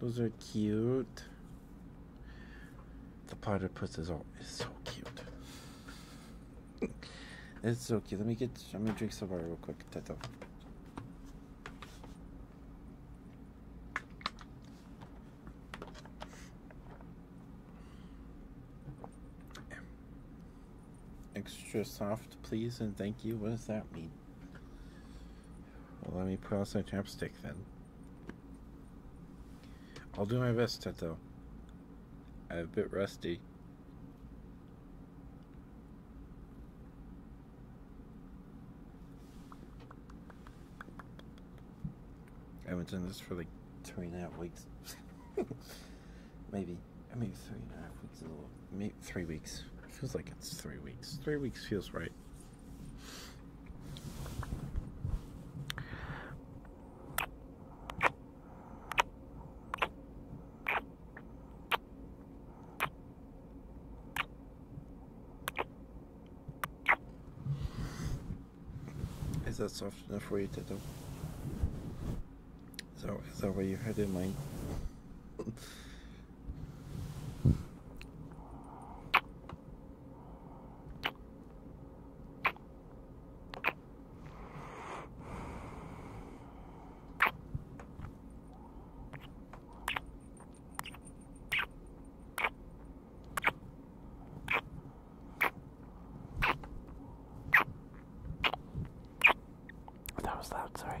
Those are cute. The platypus is all is so cute. it's so cute. Let me get. Let me drink some water real quick. Tato. Extra soft, please, and thank you. What does that mean? Well, let me put on some chapstick then. I'll do my best, Teto. I'm a bit rusty. I haven't done this for like three and a half weeks. *laughs* maybe, maybe three and a half weeks three weeks. Feels like it's three weeks. Three weeks feels right. Is that soft enough for you, Tito? Is that, is where you had in that was loud, sorry.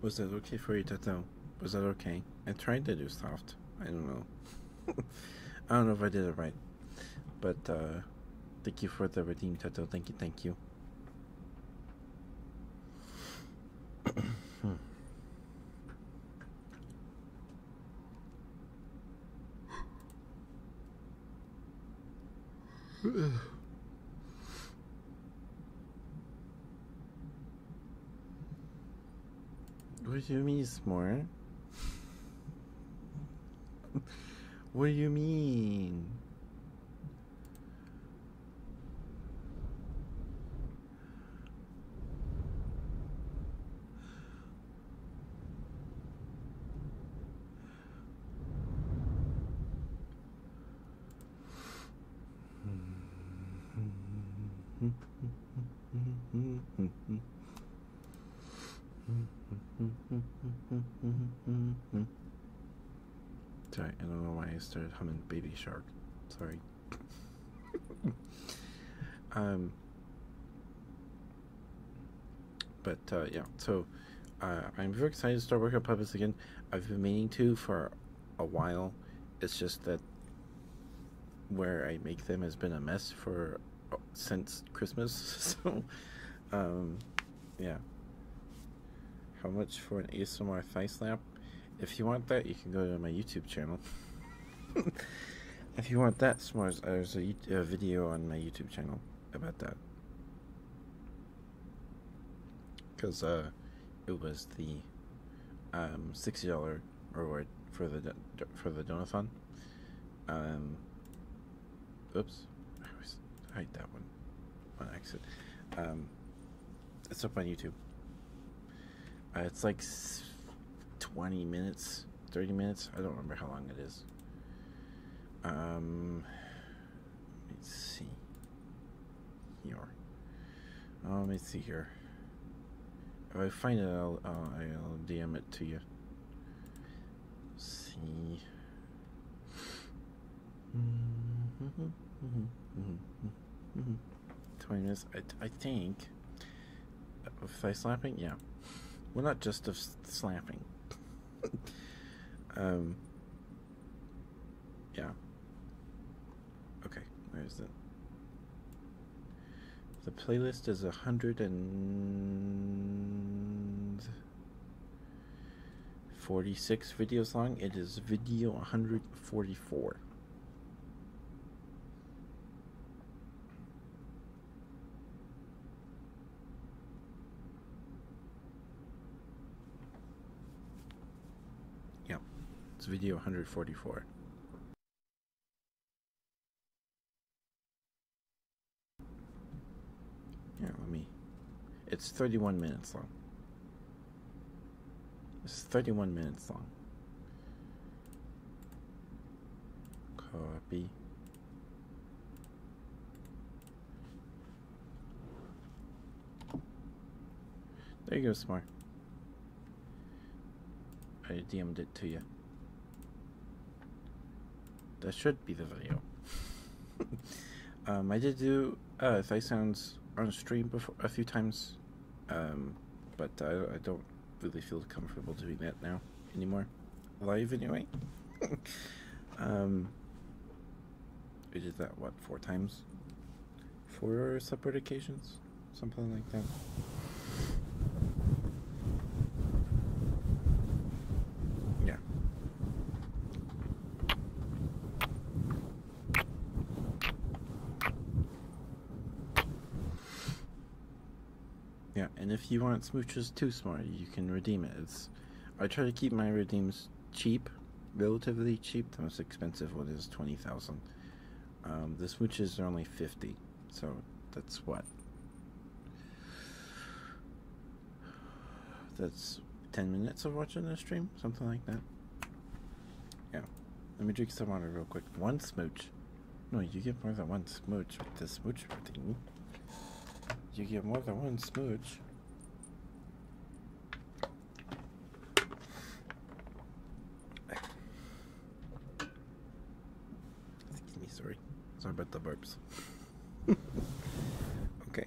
Was that okay for you, Tato? Was that okay? I tried to do soft. I don't know. I don't know if I did it right. But uh thank you for the redeem, Tato. Thank you, thank you. What do you mean smart? what do you mean? Sorry, I don't know why I started humming Baby Shark. Sorry. *laughs* um, but uh, yeah, so uh, I'm very excited to start working on puppets again. I've been meaning to for a while. It's just that where I make them has been a mess for uh, since Christmas. *laughs* So, um, yeah. How much for an ASMR thigh slap? If you want that, you can go to my YouTube channel. *laughs* if you want that, smart there's a, a video on my YouTube channel about that. Because, uh, it was the um, sixty dollar reward for the for the donathon. Um, oops, I always that one on accident. Um, it's up on YouTube. Uh, it's like twenty minutes, thirty minutes. I don't remember how long it is. Um, let's see here. Uh, let me see here. If I find it, I'll, uh, I'll DM it to you. see. Twenty minutes. I, I think. Of thigh slapping, yeah. Well, not just of slapping. *laughs* um. Yeah. Okay, where is it? The playlist is a hundred and forty-six videos long. It is video one hundred forty-four. Yep. It's video 144. Yeah, let me. It's 31 minutes long. It's 31 minutes long. Copy. There you go, Smart. I DM'd it to you. That should be the video. *laughs* um, I did do uh, Thigh Sounds on stream before a few times, um, but I, I don't really feel comfortable doing that now anymore. Live anyway. *laughs* um, we did that, what, four times? Four separate occasions, something like that. Yeah. Yeah, and if you want smooches too smart, you can redeem it. I try to keep my redeems cheap, relatively cheap. The most expensive one is twenty thousand. Um, the switches are only 50, so that's what? That's 10 minutes of watching the stream, something like that. Yeah. Let me drink some water real quick. One smooch. No, you get more than one smooch with the smooch thing. You get more than one smooch. Excuse me, sorry. Sorry about the burps. *laughs* okay.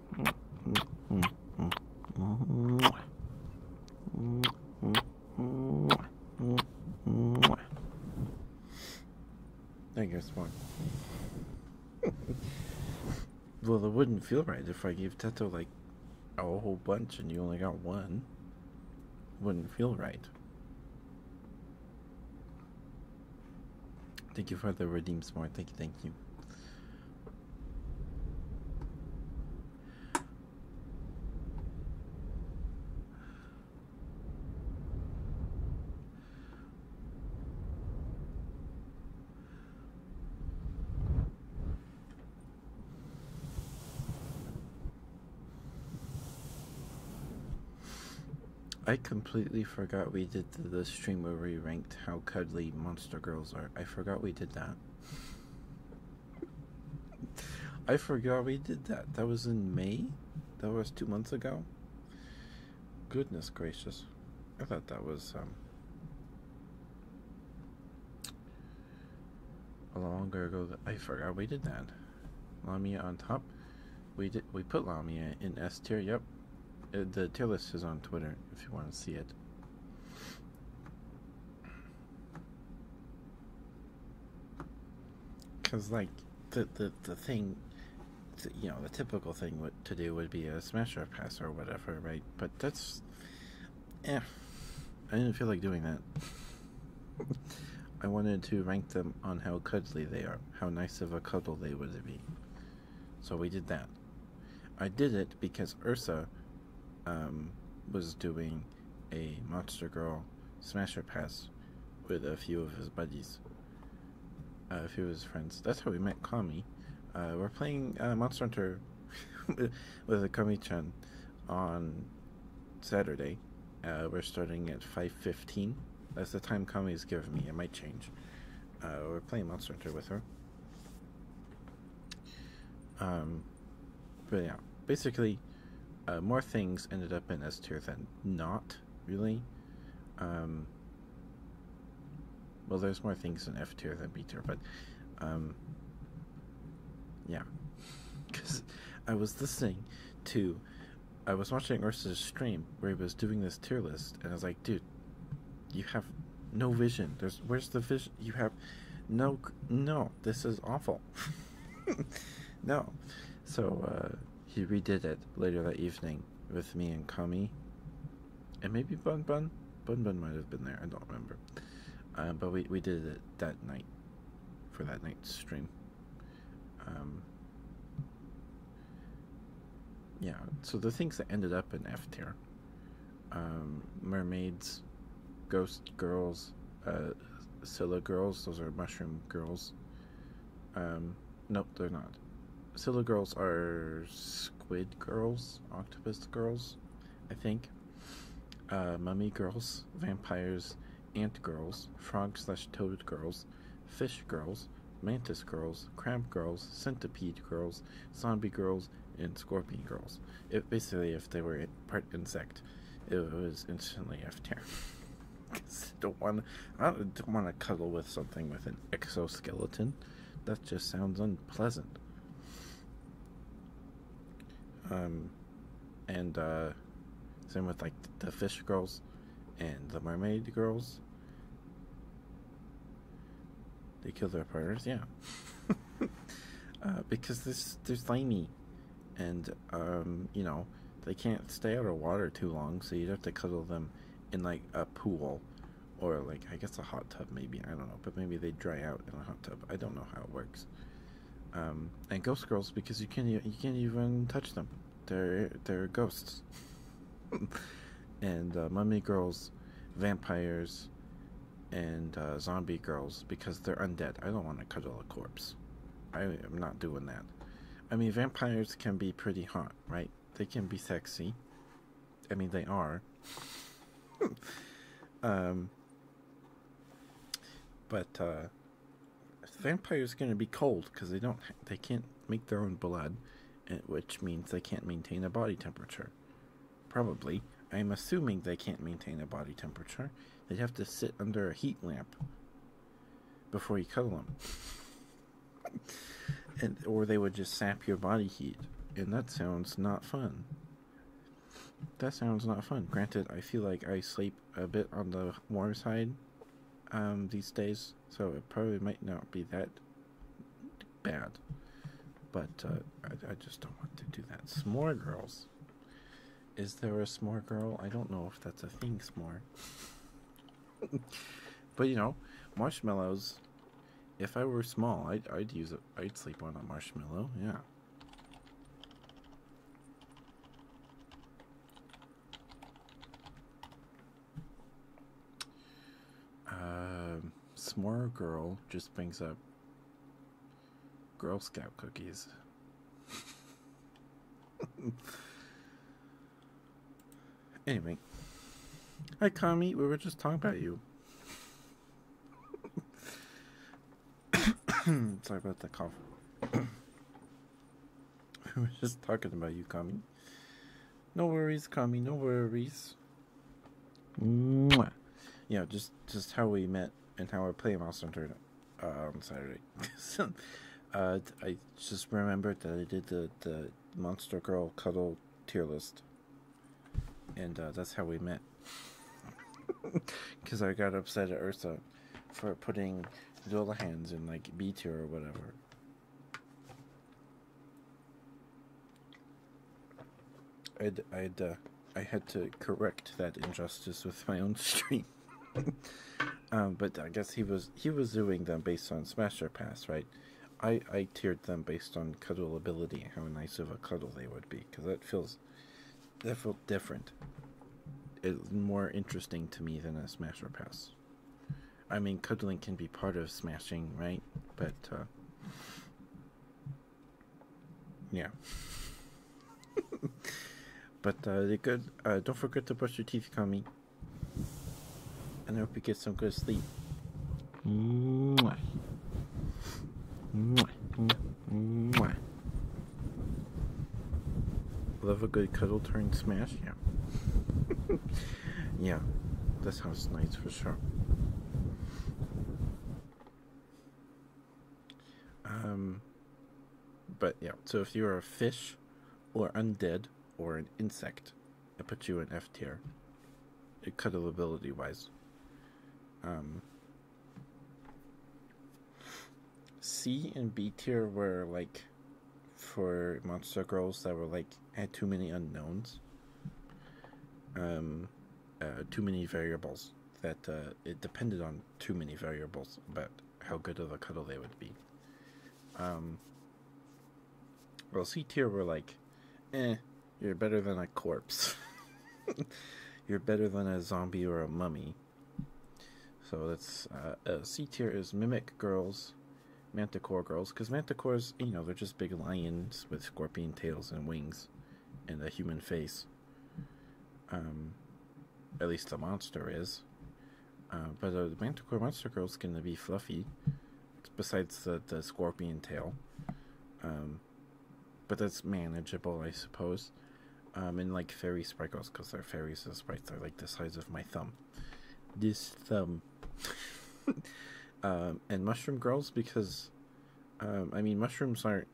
I guess one. well, it wouldn't feel right if I gave Teto like a whole bunch and you only got one. Wouldn't feel right. Thank you for the redeem smart. Thank you, thank you. I completely forgot we did the stream where we ranked how cuddly monster girls are. I forgot we did that. I forgot we did that. That was in May? That was two months ago? Goodness gracious. I thought that was um, a longer ago. That I forgot we did that. Lamia on top. We did. We put Lamia in S tier. Yep. Uh, the tier list is on Twitter if you want to see it. Because, like, the, the, the thing, you know, the typical thing would, to do would be a smash or pass or whatever, right? But that's. Eh. I didn't feel like doing that. *laughs* I wanted to rank them on how cuddly they are, how nice of a cuddle they would be. So we did that. I did it because Ursa um, was doing a Monster Girl Smasher Pass with a few of his buddies, uh, a few of his friends. That's how we met Kami. Uh, we're playing uh, Monster Hunter *laughs* with a Kami-chan on Saturday. we're starting at 5.15. That's the time Kami Kami's given me. It might change. we're playing Monster Hunter with her. Um, but yeah, basically, uh, more things ended up in S tier than not, really. Um, well, there's more things in F tier than B tier, but um, yeah. Because *laughs* I was listening to, I was watching Ursa's stream where he was doing this tier list, and I was like, dude, you have no vision. There's where's the vision? You have no no. This is awful. *laughs* no, so uh, he redid it later that evening with me and Kami, and maybe Bun Bun. Bun Bun might have been there. I don't remember. Uh, but we we did it that night for that night stream. Um, yeah, so the things that ended up in F tier um, mermaids, ghost girls, uh, Scylla girls. Those are mushroom girls. Um, no, they're not. Scylla girls are squid girls, octopus girls, I think. Uh, mummy girls, vampires, ant girls, frog slash toad girls, fish girls, mantis girls, crab girls, centipede girls, zombie girls, girls and scorpion girls. It basically, if they were part insect, it was instantly after. *laughs* Cause I don't want, I don't, want to cuddle with something with an exoskeleton. That just sounds unpleasant. Um, and uh, same with like the fish girls and the mermaid girls. They kill their partners, yeah. *laughs* uh, because this they're slimy, and um, you know they can't stay out of water too long, so you'd have to cuddle them in like a pool, or like I guess a hot tub maybe. I don't know, but maybe they dry out in a hot tub. I don't know how it works. Um, and ghost girls because you can't you can't even touch them. They're they're ghosts. *laughs* and uh, mummy girls, vampires, and uh, zombie girls because they're undead. I don't want to cuddle a corpse. I am not doing that. I mean, vampires can be pretty hot, right? They can be sexy. I mean, they are. *laughs* um, but uh, vampires going to be cold because they don't they can't make their own blood, eh, which means they can't maintain a body temperature. Probably. I'm assuming they can't maintain a body temperature. They'd have to sit under a heat lamp before you cuddle them. *laughs* and, or they would just sap your body heat. And that sounds not fun. That sounds not fun. Granted, I feel like I sleep a bit on the warm side um, these days, so it probably might not be that bad. But uh, I, I just don't want to do that. S'more girls. Is there a s'more girl? I don't know if that's a thing, s'more. *laughs* but you know, marshmallows. If I were small, I'd, I'd use it. I'd sleep on a marshmallow. Yeah. Uh, S'more Girl just brings up Girl Scout cookies. anyway. Hi, Kami. We were just talking about you. *coughs* Sorry about the cough. *coughs* we were just talking about you, Kami. No worries, Kami. No worries. Mwah. You know, just just how we met and how I play Monster Hunter uh, on Saturday. *laughs* Uh, I just remembered that I did the, the Monster Girl cuddle tier list, and uh, that's how we met. Because *laughs* I got upset at Ursa for putting Zola hands in like B tier or whatever. I'd, I'd, uh, I had to correct that injustice with my own *laughs* stream. um, but I guess he was he was doing them based on Smasher Pass, right? I, I tiered them based on cuddle ability, how nice of a cuddle they would be, because that feels that felt different. It's more interesting to me than a Smasher Pass. I mean, cuddling can be part of smashing, right? But uh, yeah. *laughs* but uh, they the good. Uh, don't forget to brush your teeth, Kami. And I hope you get some good sleep. Mwah. Mwah. Mwah. Love a good cuddle turn smash, yeah. *laughs* yeah, that sounds nice for sure. Um, but yeah, so if you're a fish or undead or an insect, I put you in F tier. Uh, Cuttleability wise. Um, C and B tier were like for monster girls that were like had too many unknowns. Um, uh, too many variables, that uh, it depended on too many variables about how good of a cuddle they would be. Um, well, C tier were like, eh, you're better than a corpse. *laughs* you're better than a zombie or a mummy. So that's uh, uh C tier is Mimic Girls, Manticore Girls, because Manticores, you know, they're just big lions with scorpion tails and wings eyes and a human face. Um, at least the monster is. Uh, but the Manticore Monster Girl is going to be fluffy, besides the, the scorpion tail. Um, but that's manageable, I suppose. Um, and like fairy sprinkles, because they're fairies, the sprites are like the size of my thumb. This thumb. *laughs* and mushroom girls, because um, I mean, mushrooms aren't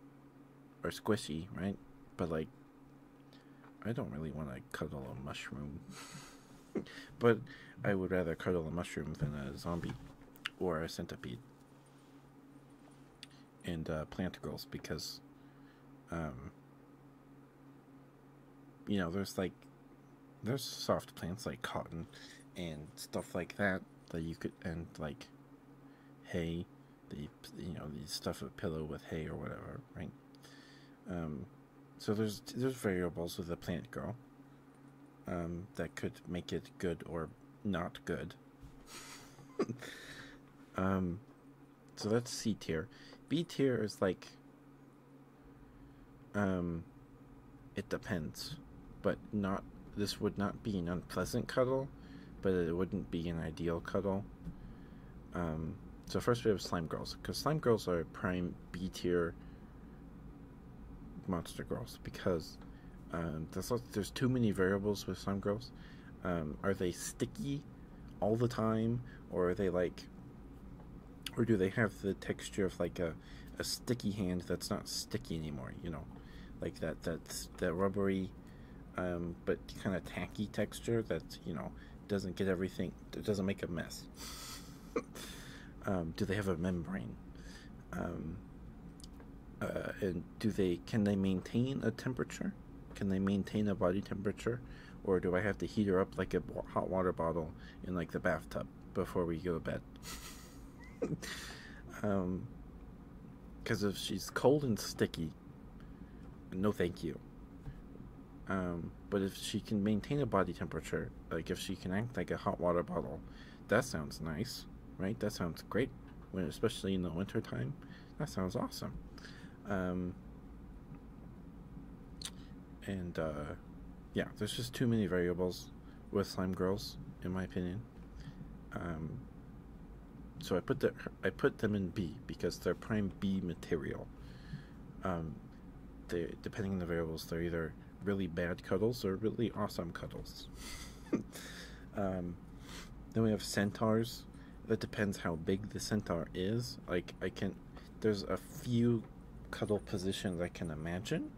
are squishy, right? But like, I don't really want to cuddle a mushroom. *laughs* but I would rather cuddle a mushroom than a zombie or a centipede and uh, plantigrels because, um, you know, there's like there's soft plants like cotton and stuff like that that you could and like hay, the you know the stuff a pillow with hay or whatever, right? Um, so there's there's variables with the plant girl um, that could make it good or not good. *laughs* um, so that's C tier. B tier is like um, it depends. But not this would not be an unpleasant cuddle, but it wouldn't be an ideal cuddle. Um, so first we have slime girls because slime girls are prime B tier monster girls because um, there's too many variables with slime girls. Um, are they sticky all the time, or are they like, or do they have the texture of like a a, sticky hand that's not sticky anymore, you know, like that, that, that rubbery, um, but kind of tacky texture that, you know, doesn't get everything, it doesn't make a mess. *laughs* um, do they have a membrane? Um, uh, and do they, can they maintain a temperature? Can they maintain a body temperature? Or do I have to heat her up like a hot water bottle in like the bathtub? before we go to bed. *laughs* um, because if she's cold and sticky, no thank you. Um, but if she can maintain a body temperature, like if she can act like a hot water bottle, that sounds nice, right? That sounds great, when especially in the winter time. That sounds awesome. Um, and uh, yeah, there's just too many variables with slime girls, in my opinion. Um, so I put the I put them in B because they're prime B material. Um, they depending on the variables, they're either really bad cuddles or really awesome cuddles. *laughs* um, then we have centaurs. That depends how big the centaur is. Like I can, there's a few cuddle positions I can imagine.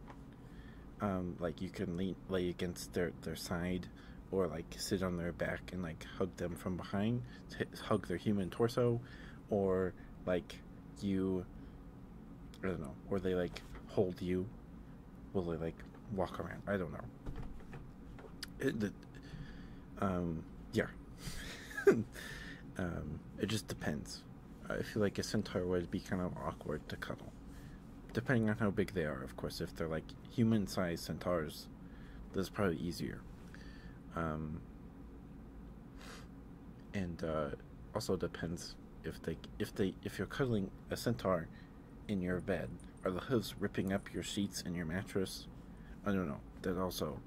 Um, like you can lean, lay against their, their side or like sit on their back and like hug them from behind, hug their human torso, or like you, I don't know, or they like hold you, will they like walk around? I don't know. the, um, yeah. *laughs* um, it just depends. I feel like a centaur would be kind of awkward to cuddle. Depending on how big they are, of course. If they're like human sized centaurs, that's probably easier. Um, and uh, also depends if they if they if you're cuddling a centaur in your bed, are the hooves ripping up your sheets and your mattress? I don't know. That also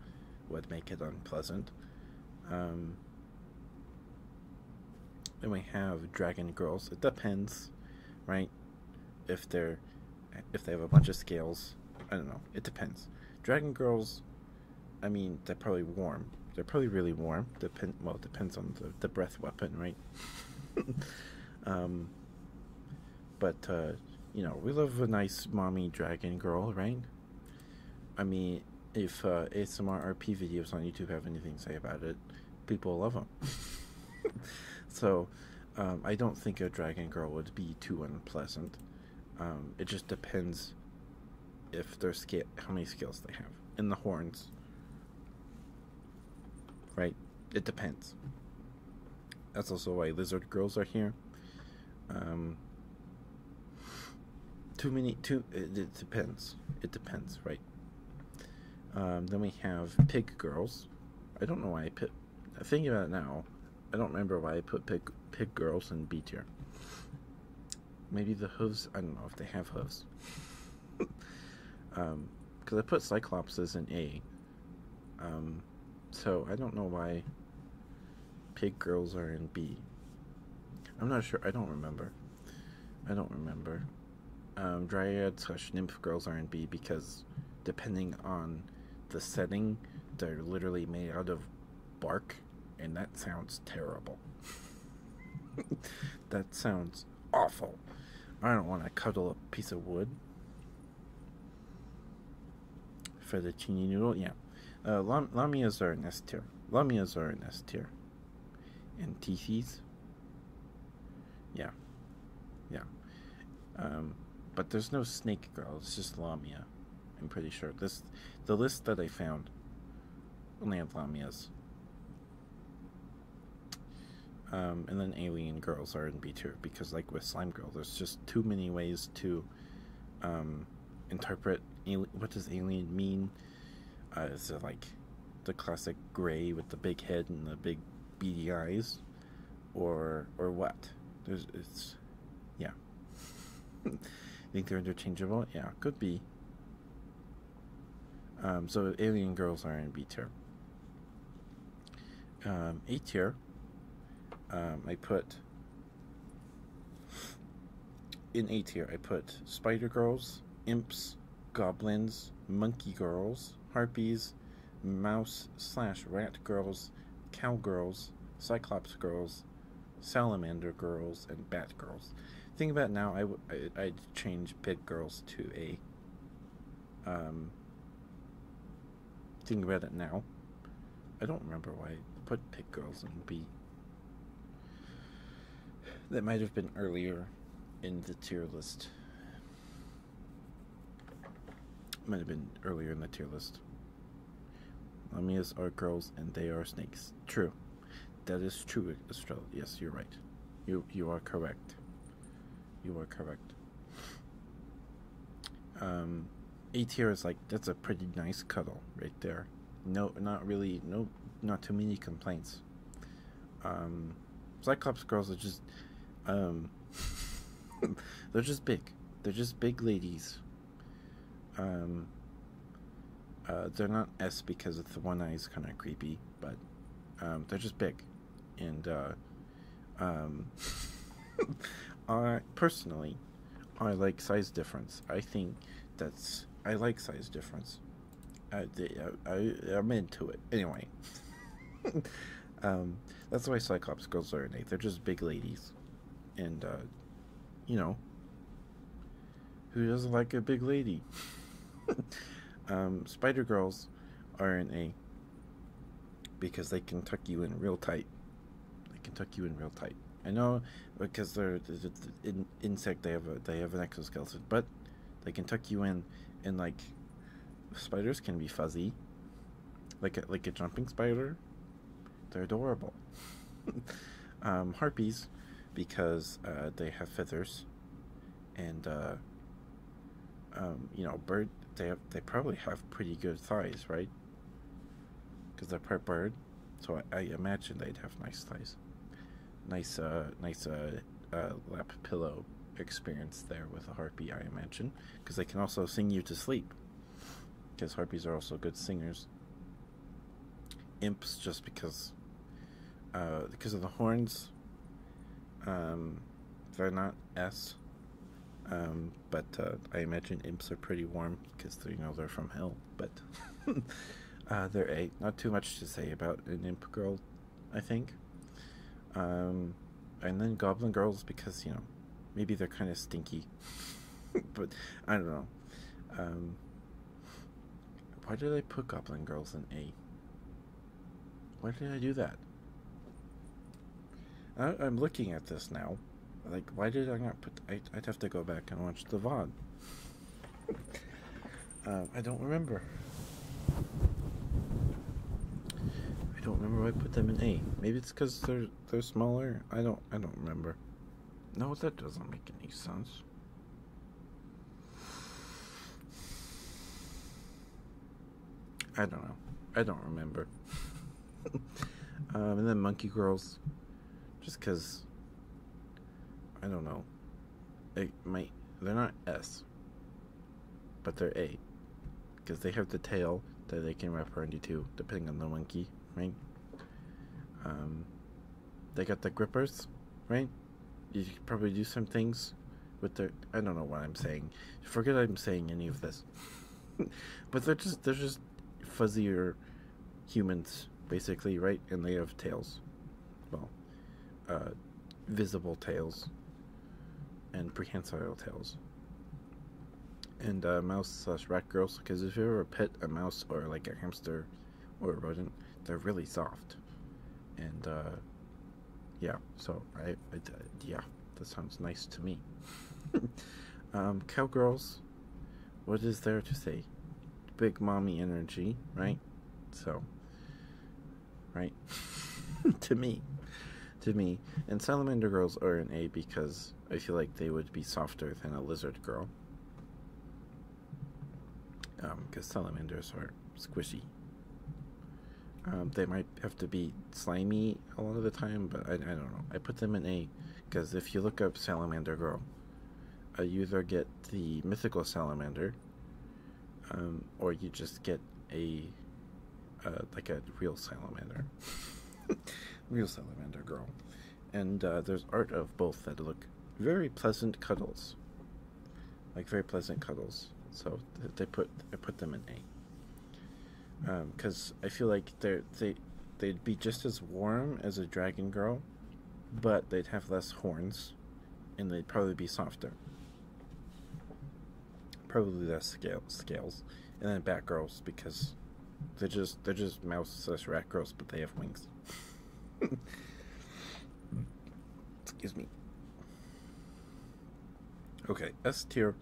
would make it unpleasant. Um, then we have dragon girls. It depends, right? If they're if they have a bunch of scales. I don't know. It depends. Dragon girls, I mean, they're probably warm. They're probably really warm. Depend well, it depends on the, breath weapon, right? *laughs* um, but uh, you know, we love a nice mommy dragon girl, right? I mean, if uh, ASMR RP videos on YouTube have anything to say about it, people love them. *laughs* so um, I don't think a dragon girl would be too unpleasant. Um, it just depends if their scale, how many skills they have, and the horns. Right, it depends. That's also why lizard girls are here. Um, too many, too. it depends. It depends, right? Um, then we have Pig Girls. I don't know why I put. Thinking about it now, I don't remember why I put Pig, pig Girls in B tier. Maybe the hooves. I don't know if they have hooves. Because *laughs* um, I put Cyclopses in A. Um, so I don't know why Pig Girls are in B. I'm not sure. I don't remember. I don't remember um, dryad slash nymph girls R&B because depending on the setting, they're literally made out of bark, and that sounds terrible. *laughs* that sounds awful. I don't want to cuddle a piece of wood. Fettuccine noodle, yeah. Uh, lam- lamias are in S tier. Lamias are in And Tethys. Yeah. Yeah. Um, but there's no snake girl. It's just Lamia. I'm pretty sure. This, the list that I found, only had Lamias. Um, and then alien girls are in B2 because, like with Slime Girl, there's just too many ways to um, interpret what does alien mean is uh, it like the classic gray with the big head and the big beady eyes, or or what? There's it's, yeah. I *laughs* think they're interchangeable? Yeah, could be. Um, so alien girls are in B tier. Um, A tier. Um, I put in A tier. I put Spider Girls, Imps, goblins, monkey girls, harpies, mouse slash rat girls, cowgirls, cyclops girls, salamander girls, and bat girls. Think about now, I I, I'd change pit girls to a. Um, think about it now. I don't remember why I put pig girls in B that might have been earlier in the tier list. Might have been earlier in the tier list. Lamias are girls and they are snakes. True. That is true, Estrella. Yes, you're right. You you are correct. You are correct. Um A tier is like that's a pretty nice cuddle right there. No not really no not too many complaints. Um Cyclops girls are just, um, *laughs* they're just big. They're just big ladies. Um, uh, they're not S because of the one eye is kind of creepy, but um, they're just big, and uh, *laughs* I personally, I like size difference. I think that's I like size difference. I, I, am into it. Anyway, *laughs* um, that's why Cyclops girls are innate. They're just big ladies. And, uh, you know, who doesn't like a big lady? *laughs* um, spider girls are in a because they can tuck you in real tight. They can tuck you in real tight. I know because they're, they're, an insect. They have a they have an exoskeleton, but they can tuck you in, and like spiders can be fuzzy, like a, like a jumping spider. They're adorable. *laughs* um, harpies, because uh, they have feathers, and uh, um, you know, bird. They have, they probably have pretty good thighs, right? Because they're part bird, so I, I imagine they'd have nice thighs, nice uh, nice uh, uh, lap pillow experience there with a harpy, I imagine, because they can also sing you to sleep. Because harpies are also good singers. Imps, just because, uh, because of the horns. Um, they're not s. Um, but uh, I imagine imps are pretty warm because you know they're from hell. But *laughs* uh, they're a. Not too much to say about an imp girl. I think. Um, and then Goblin Girls because you know maybe they're kind of stinky, *laughs* but I don't know. Um, why did I put Goblin Girls in A? Why did I do that? I, am looking at this now. Like, why did I not put? I'd have to go back and watch the VOD. Uh, I don't remember. I don't remember why I put them in A. Maybe it's because they're they're smaller. I don't I don't remember. No, that doesn't make any sense. I don't know. I don't remember. *laughs* Um, and then Monkey Girls, just because I don't know. It they're not S but they're eight because they have the tail that they can wrap around you too, depending on the monkey, right? Um, they got the grippers, right? You probably do some things with their. I don't know what I'm saying. Forget I'm saying any of this. *laughs* but they're just they're just fuzzier humans, basically, right? And they have tails. Well, uh, visible tails and prehensile tails. And uh, mouse slash rat girls, because if you ever pet a mouse or like a hamster or a rodent, they're really soft. And uh, yeah, so I, yeah, that sounds nice to me. *laughs* um, cowgirls, what is there to say? Big mommy energy, right? So, right? *laughs* to me. To me. And salamander girls are an A because I feel like they would be softer than a lizard girl. Um, Because salamanders are squishy. Um, they might have to be slimy a lot of the time, but I, I don't know. I put them in A because if you look up salamander girl, uh, you get the mythical salamander, um, or you just get a uh, like a real salamander, *laughs* real salamander girl, and uh, there's art of both that look very pleasant cuddles, like very pleasant cuddles. So they put I put them in A, because um, I feel like they're they they they would be just as warm as a dragon girl, but they'd have less horns, and they'd probably be softer. Probably that's scales, and then bat girls because they're just they're just mouse slash rat girls, but they have wings. *laughs* Excuse me. Okay, S tier.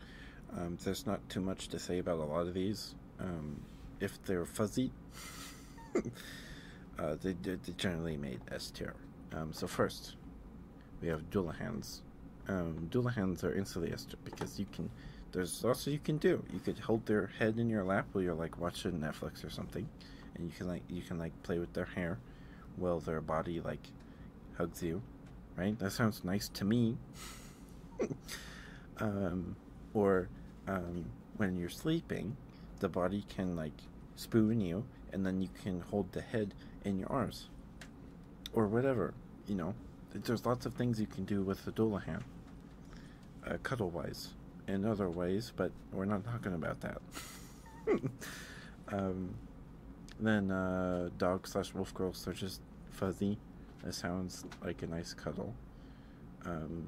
Um, there's not too much to say about a lot of these. Um, if they're fuzzy, *laughs* uh, they, they generally made S tier. Um, so first, we have Dullahan's. Um, Dullahan's are instantly estrip because you can. There's lots you can do. You could hold their head in your lap while you're like watching Netflix or something, and you can like you can like play with their hair, while their body like hugs you, right? That sounds nice to me. *laughs* Um, or um, when you're sleeping, the body can like spoon you and then you can hold the head in your arms or whatever you know there's lots of things you can do with the Doulahan uh, cuddle wise in other ways but we're not talking about that *laughs* um, then uh, dog slash wolf girls are just fuzzy it sounds like a nice cuddle um,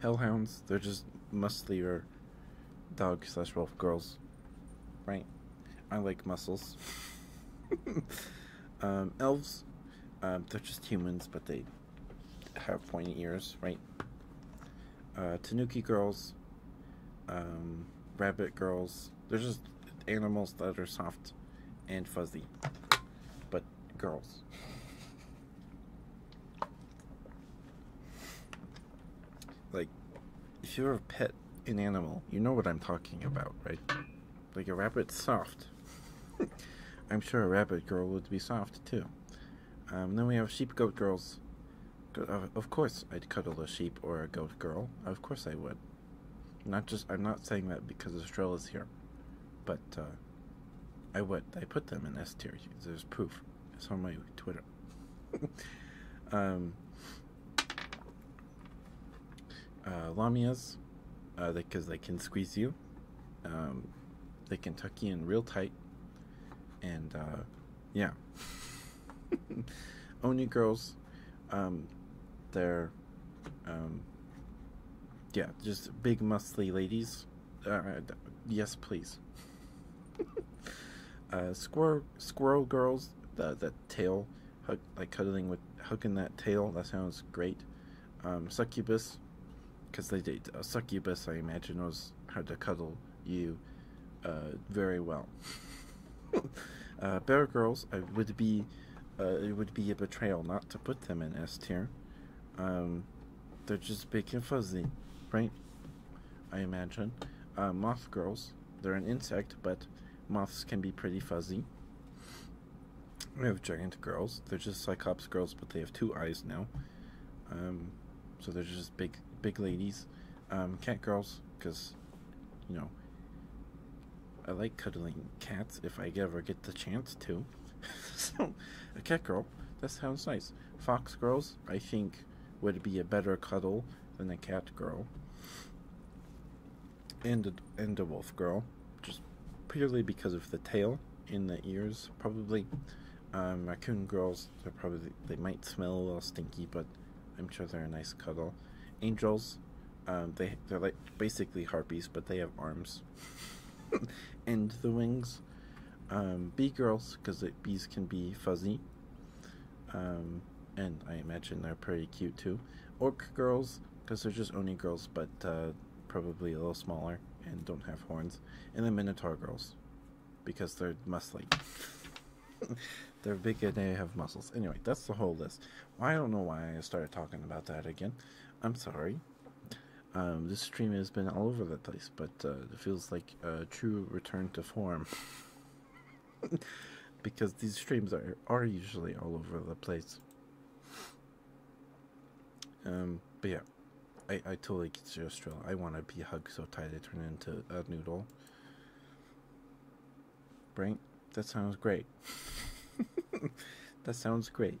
hellhounds they're just mostly your dog slash wolf girls, right? I like muscles. *laughs* Um, elves, um, they're just humans, but they have pointy ears, right? Uh, tanuki girls, um, rabbit girls, they're just animals that are soft and fuzzy, but girls. Like, if you're a pet, an animal, you know what I'm talking about, right? Like a rabbit, soft. *laughs* I'm sure a rabbit girl would be soft too. Um, then we have sheep goat girls. Uh, of course, I'd cuddle a sheep or a goat girl. Of course, I would. Not just I'm not saying that because Estrella's here, but uh, I would. I put them in S tier. There's proof. It's on my Twitter. *laughs* um, uh, Lamias, because uh, they, they can squeeze you. Um, they can tuck you in real tight. And uh, yeah. *laughs* only girls, um, they're, um, yeah, just big, muscly ladies. Uh, yes, please. Uh, squirrel squirrel girls the the tail like cuddling with hooking that tail that sounds great. Um, succubus because they date a succubus I imagine knows how to cuddle you uh, very well. *laughs* Uh, bear girls I would be uh, it would be a betrayal not to put them in S tier. Um, they're just big and fuzzy, right? I imagine. Uh, moth girls. They're an insect, but moths can be pretty fuzzy. We have giant girls. They're just cyclops girls, but they have two eyes now. Um, so they're just big, big ladies. Um, cat girls, because, you know, I like cuddling cats if I ever get the chance to. *laughs* so, a cat girl, that sounds nice. Fox girls, I think would be a better cuddle than a cat girl and a, and a wolf girl, just purely because of the tail in the ears, probably. Um, raccoon girls, they're probably they might smell a little stinky, but I'm sure they're a nice cuddle. Angels, um, they they're like basically harpies, but they have arms *laughs* and the wings. Um, bee girls, because bees can be fuzzy, um, and I imagine they're pretty cute too. Orc girls, because they're just Oni girls, but uh, probably a little smaller and don't have horns. And the Minotaur girls, because they're muscly. *laughs* they're big and they have muscles. Anyway, that's the whole list. I don't know why I started talking about that again. I'm sorry. Um, this stream has been all over the place, but uh, it feels like a true return to form. *laughs* *laughs* because these streams are are usually all over the place. Um, but yeah, I I totally get your struggle. I want to be hugged so tight I turn into a noodle. Right? That sounds great. *laughs* that sounds great.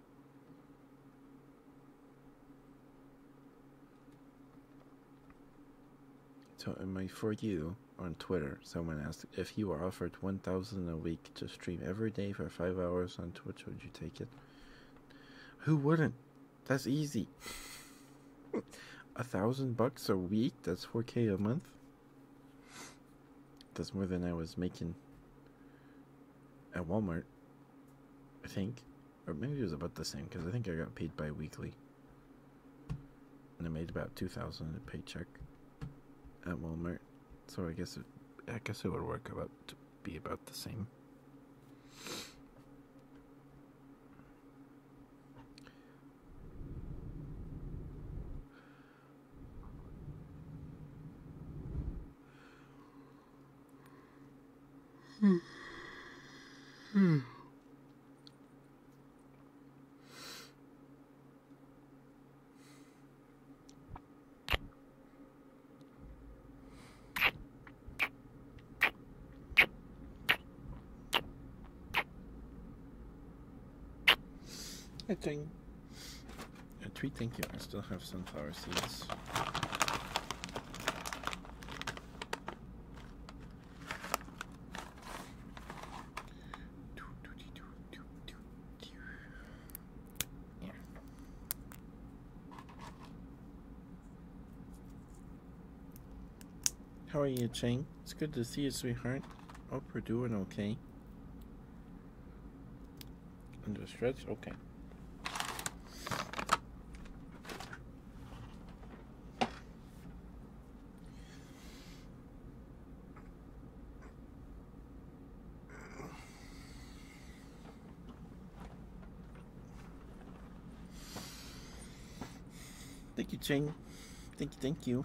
So am I For You on Twitter, someone asked, if you were offered 1000 a week to stream every day for 5 hours on Twitch, would you take it? Who wouldn't? That's easy. *laughs* a thousand bucks a week? That's 4k a month? That's more than I was making at Walmart, I think or maybe it was about the same because I think I got paid bi-weekly, and I made about two thousand paycheck at Walmart. So I guess it, I guess it would work about to be about the same. Hmm. I think at 3 thank you I still have sunflower seeds how are you, Cheng? It's good to see you, sweetheart. Hope we're doing okay. Under stretch? Okay. Thank you, Cheng. Thank you, thank you.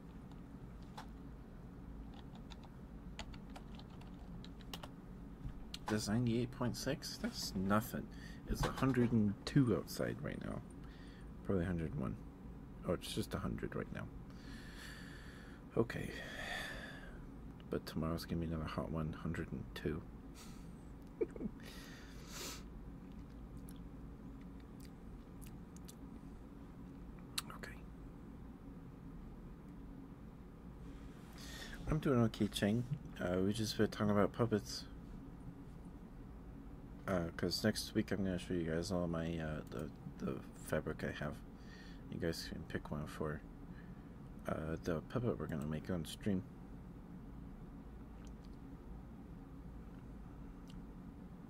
That's 98.6? That's nothing. It's 102 outside right now. Probably 101. Oh, it's just 100 right now. Okay. But tomorrow's going to be another hot 102. *laughs* Okay. I'm doing okay, Cheng. Uh, we just were talking about puppets. Because uh, next week I'm going to show you guys all my uh, the, the fabric I have. You guys can pick one for uh, the puppet we're going to make on stream.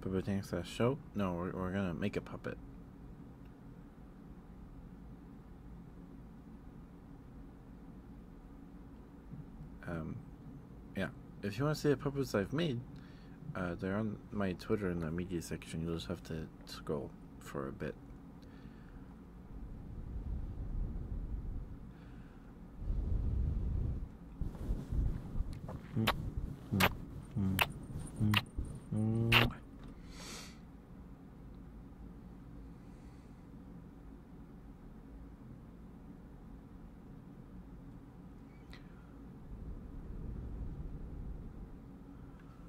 Puppet a show? No, we're, we're gonna make a puppet. Um, yeah. If you want to see the puppets I've made, uh, they're on my Twitter in the media section. You'll just have to scroll for a bit.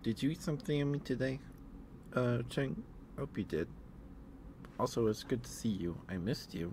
Did you eat something in me today? Uh, Cheng, hope you did. Also, it's good to see you. I missed you.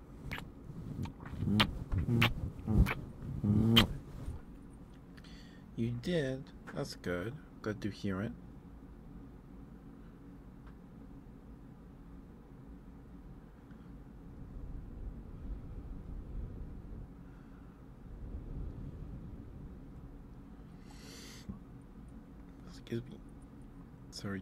You did. That's good. Good to hear it. Excuse me. Sorry.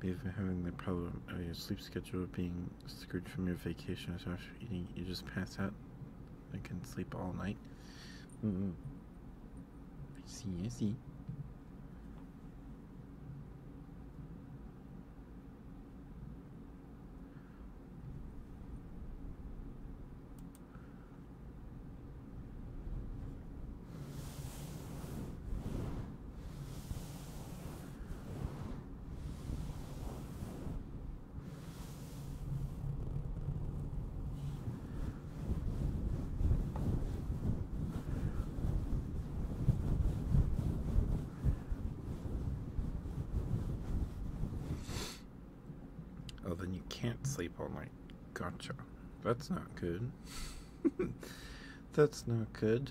They've been having the problem of your sleep schedule being screwed from your vacation. So after eating, you just pass out. and can sleep all night. Mm see, I see. Oh, then you can't sleep all night. Gotcha. That's not good. *laughs* That's not good.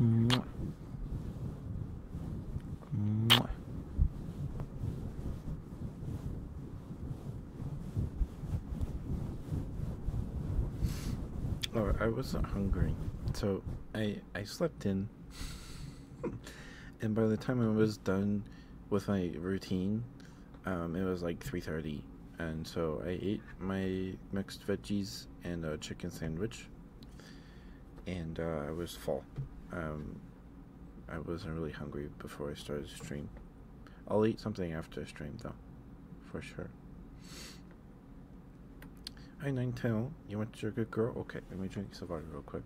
Mwah. Mwah. Oh, I wasn't hungry, so I I slept in, and by the time I was done with my routine, um, it was like three thirty, and so I ate my mixed veggies and a chicken sandwich. And uh, I was full. Um, I wasn't really hungry before I started the stream. I'll eat something after I stream though, for sure. Hi Ninetale, you want your good girl? Okay, let me drink some water real quick.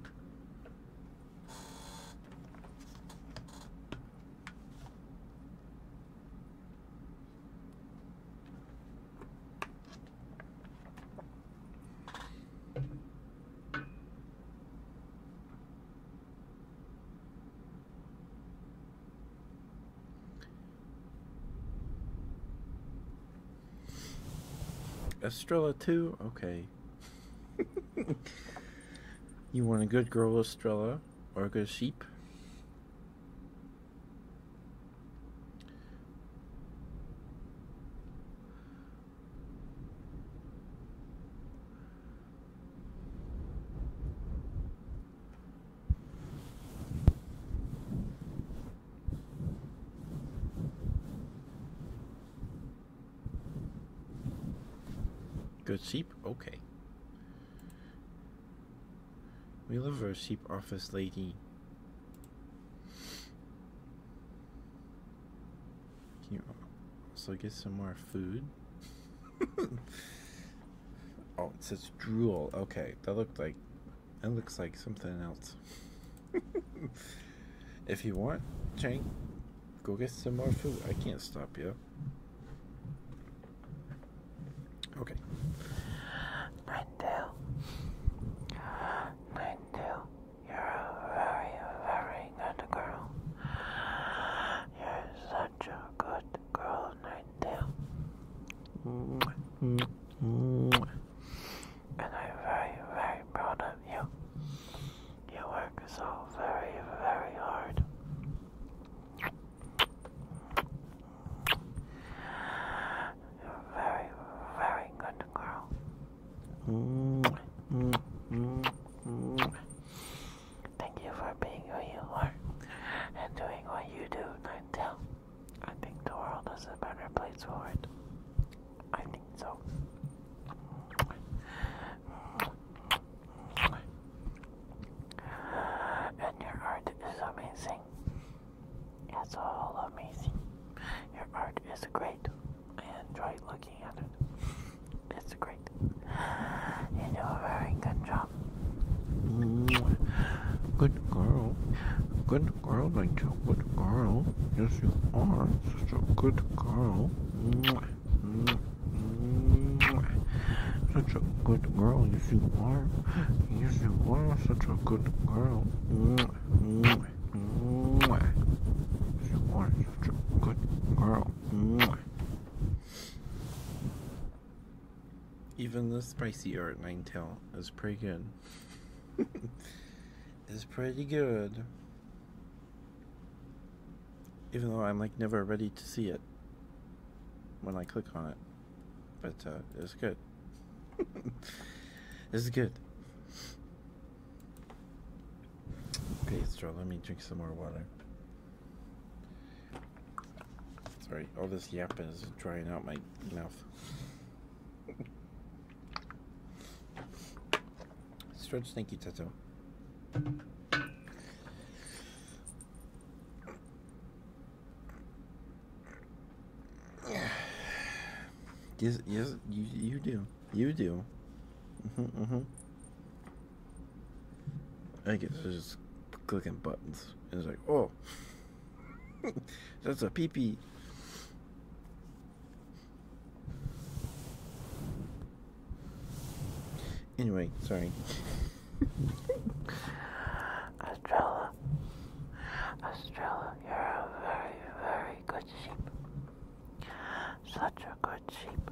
Estrella too? Okay. *laughs* you want a good girl, Estrella, or a sheep? Good sleep. Okay. We love our sheep office lady. Can you also get some more food? *laughs* oh, it says drool. Okay, that looked like that looks like something else. *laughs* if you want, Chang, go get some more food. I can't stop you. Okay. Ninetale. Ninetale, you're a very, very good girl. You're such a good girl, Ninetale. And I'm very, very proud of you. You work so very, very hard. You're very, very good girl. Thank you for being who you are and doing what you do, Ninetale. I think the world is a better place for it. I think so. And your art is amazing. That's all amazing. Your art is great. I enjoy looking at it. It's great. You do a very good job. Good girl. Good girl, Rachel. Good girl. Yes, you are. Such a good girl. Such a good girl. you are. Yes, you are such a good girl. Yes, you are such a good girl. Even the spicy art nine tail is pretty good. *laughs* It's pretty good. Even though I'm like never ready to see it when I click on it but uh, it's good. *laughs* It's good. Okay, so let me drink some more water. Sorry, all this yapping is drying out my mouth. Stretch, thank you, Tato. Yes, yes, you you do, you do. Mhm, mhm. I guess it's just clicking buttons. It's like, oh, *laughs* that's a pee pee. Anyway, sorry. Astrology. *laughs* Estrella. you're a very, very good sheep. Such a good sheep.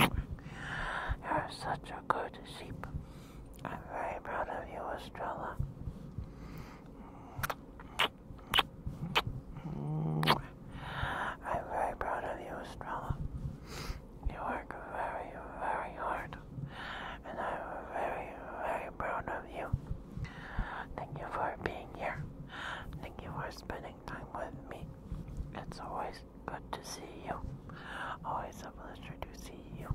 You're such a good sheep. I'm very proud of you, Estrella. I'm very proud of you, Estrella. You work very, very hard, and I'm very, very proud of you. Thank you for being here. Thank you for spending time with me. It's always good to see you. Always a pleasure to see you.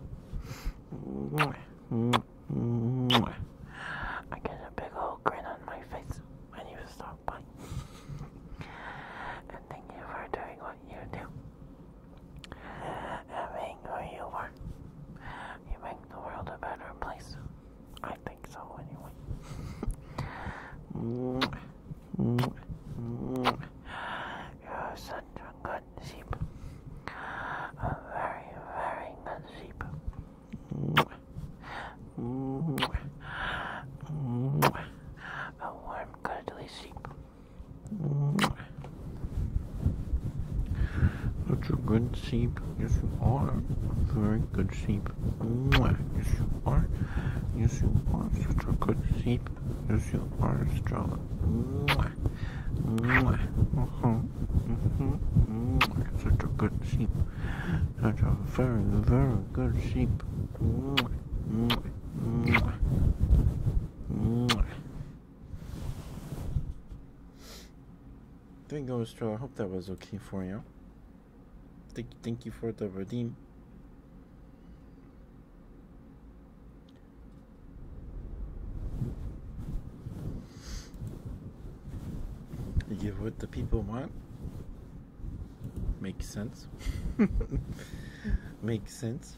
I get a big old grin on my face when you stop by. and thank you for doing what you do. And who you are, you make the world a better place. I think so, anyway. You're such a good sheep. A very, very good sheep. A warm, cuddly sheep. That's a good sheep. Yes, you are. Very good sheep. Yes, you are. Yes, you are. Such a good sheep. Yes, you are strong. Uh-huh. Mm-hmm. Such a good sheep. Such a very, very good sheep. Mm-hmm. Thank you, Joe. I hope that was okay for you. Thank, thank you for the redeem. give what the people want. Makes sense. *laughs* Makes sense.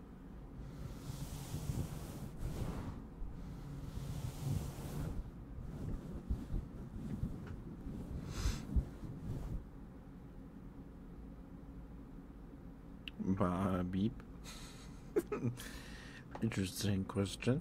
Uh, beep. Interesting question.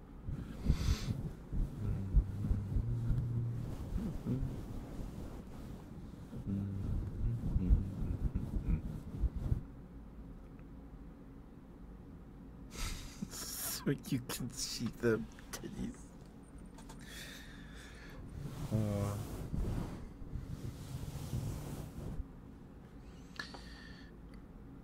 *laughs* so you can see the titties. Uh.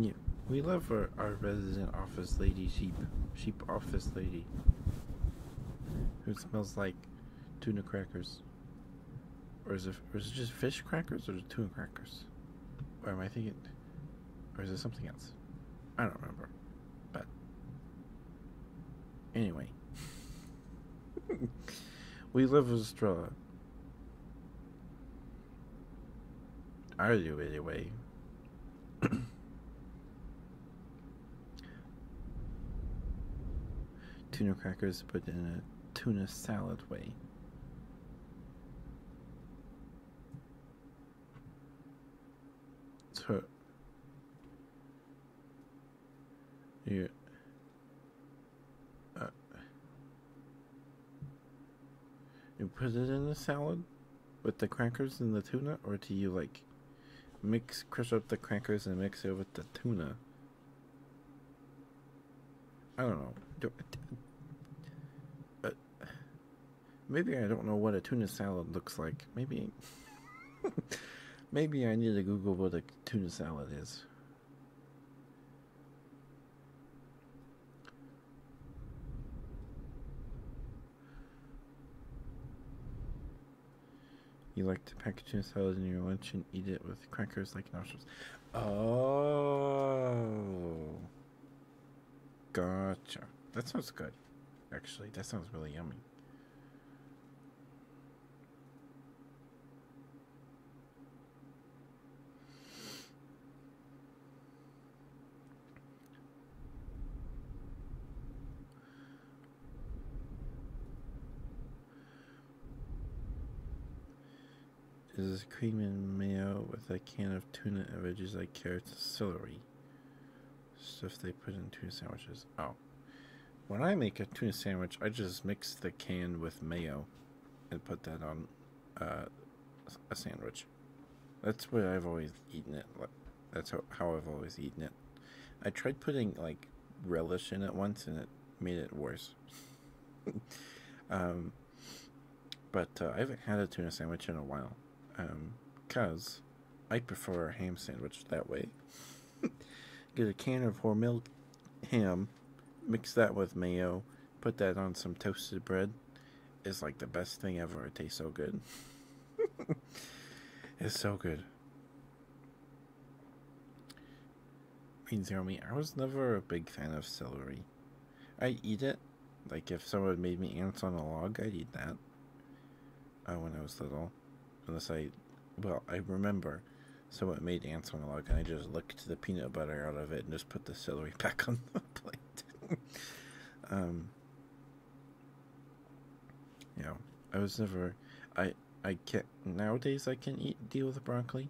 Yeah, we love our, our resident office lady sheep, sheep office lady, who smells like tuna crackers. Or is it, it just fish crackers or tuna crackers? Or am I thinking, or is it something else? I don't remember. But anyway, *laughs* we live with Strella. I do anyway. *coughs* tuna crackers, but in a tuna salad way. So you uh, you put it in the salad with the crackers and the tuna, or do you like mix crush up the crackers and mix it with the tuna? I don't know. Uh, Maybe I don't know what a tuna salad looks like. Maybe. *laughs* Maybe I need to Google what a tuna salad is. You like to pack tuna salad in your lunch and eat it with crackers like nachos. Oh, gotcha. That sounds good actually. That sounds really yummy. Is this cream and mayo with a can of tuna veggies like carrots celery? Stuff they put in tuna sandwiches. Oh. When I make a tuna sandwich, I just mix the can with mayo and put that on uh, a sandwich. That's what I've always eaten it. That's how, how I've always eaten it. I tried putting like relish in it once and it made it worse. *laughs* um, but uh, I haven't had a tuna sandwich in a while. um, Because I prefer a ham sandwich that way. *laughs* Get a can of Hormel ham, mix that with mayo, put that on some toasted bread. It's like the best thing ever. It tastes so good. *laughs* it's so good. Green Zero Me, I was never a big fan of celery. i eat it. Like if someone made me ants on a log, I'd eat that uh, when I was little, unless I, well, I remember someone made ants on a log, and I just licked the peanut butter out of it and just put the celery *laughs* back on the plate. *laughs* um, you know, I was never, I, I can't, nowadays I can eat, deal with broccoli.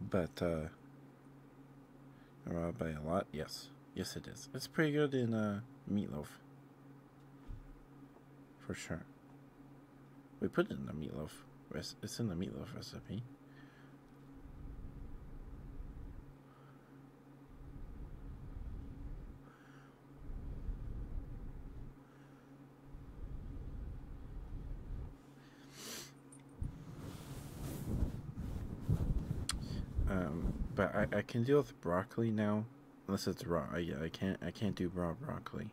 But, uh, robbed by a lot? Yes. Yes, it is. It's pretty good in, uh, meatloaf. For sure. We put it in the meatloaf. It's in the meatloaf recipe. Um, but I, I can deal with broccoli now, unless it's raw. I, I can't I can't do raw broccoli.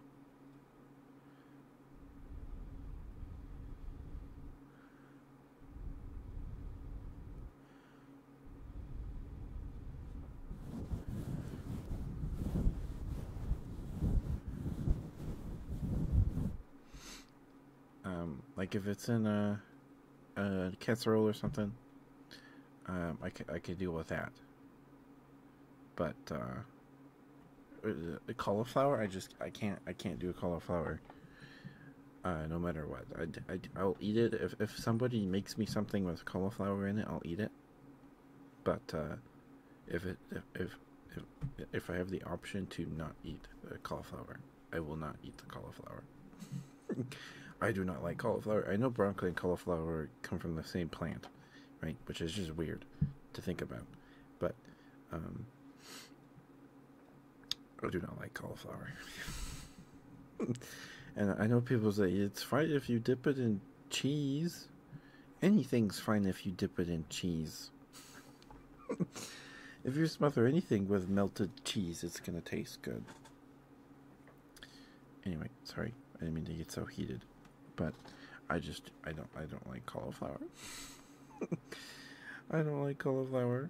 Um, like if it's in a, a casserole or something, um, I, I could deal with that. But a uh, uh, cauliflower, I just I can't I can't do a cauliflower. Uh, no matter what, I, I, I'll eat it if if somebody makes me something with cauliflower in it, I'll eat it. But uh, if it if if if I have the option to not eat the cauliflower, I will not eat the cauliflower. *laughs* I do not like cauliflower. I know broccoli and cauliflower come from the same plant, right? Which is just weird to think about. But um, I do not like cauliflower. *laughs* and I know people say it's fine if you dip it in cheese Anything's fine if you dip it in cheese. *laughs* if you smother anything with melted cheese, it's gonna taste good. Anyway, sorry, I didn't mean to get so heated, but I just I don't I don't like cauliflower. *laughs* I don't like cauliflower.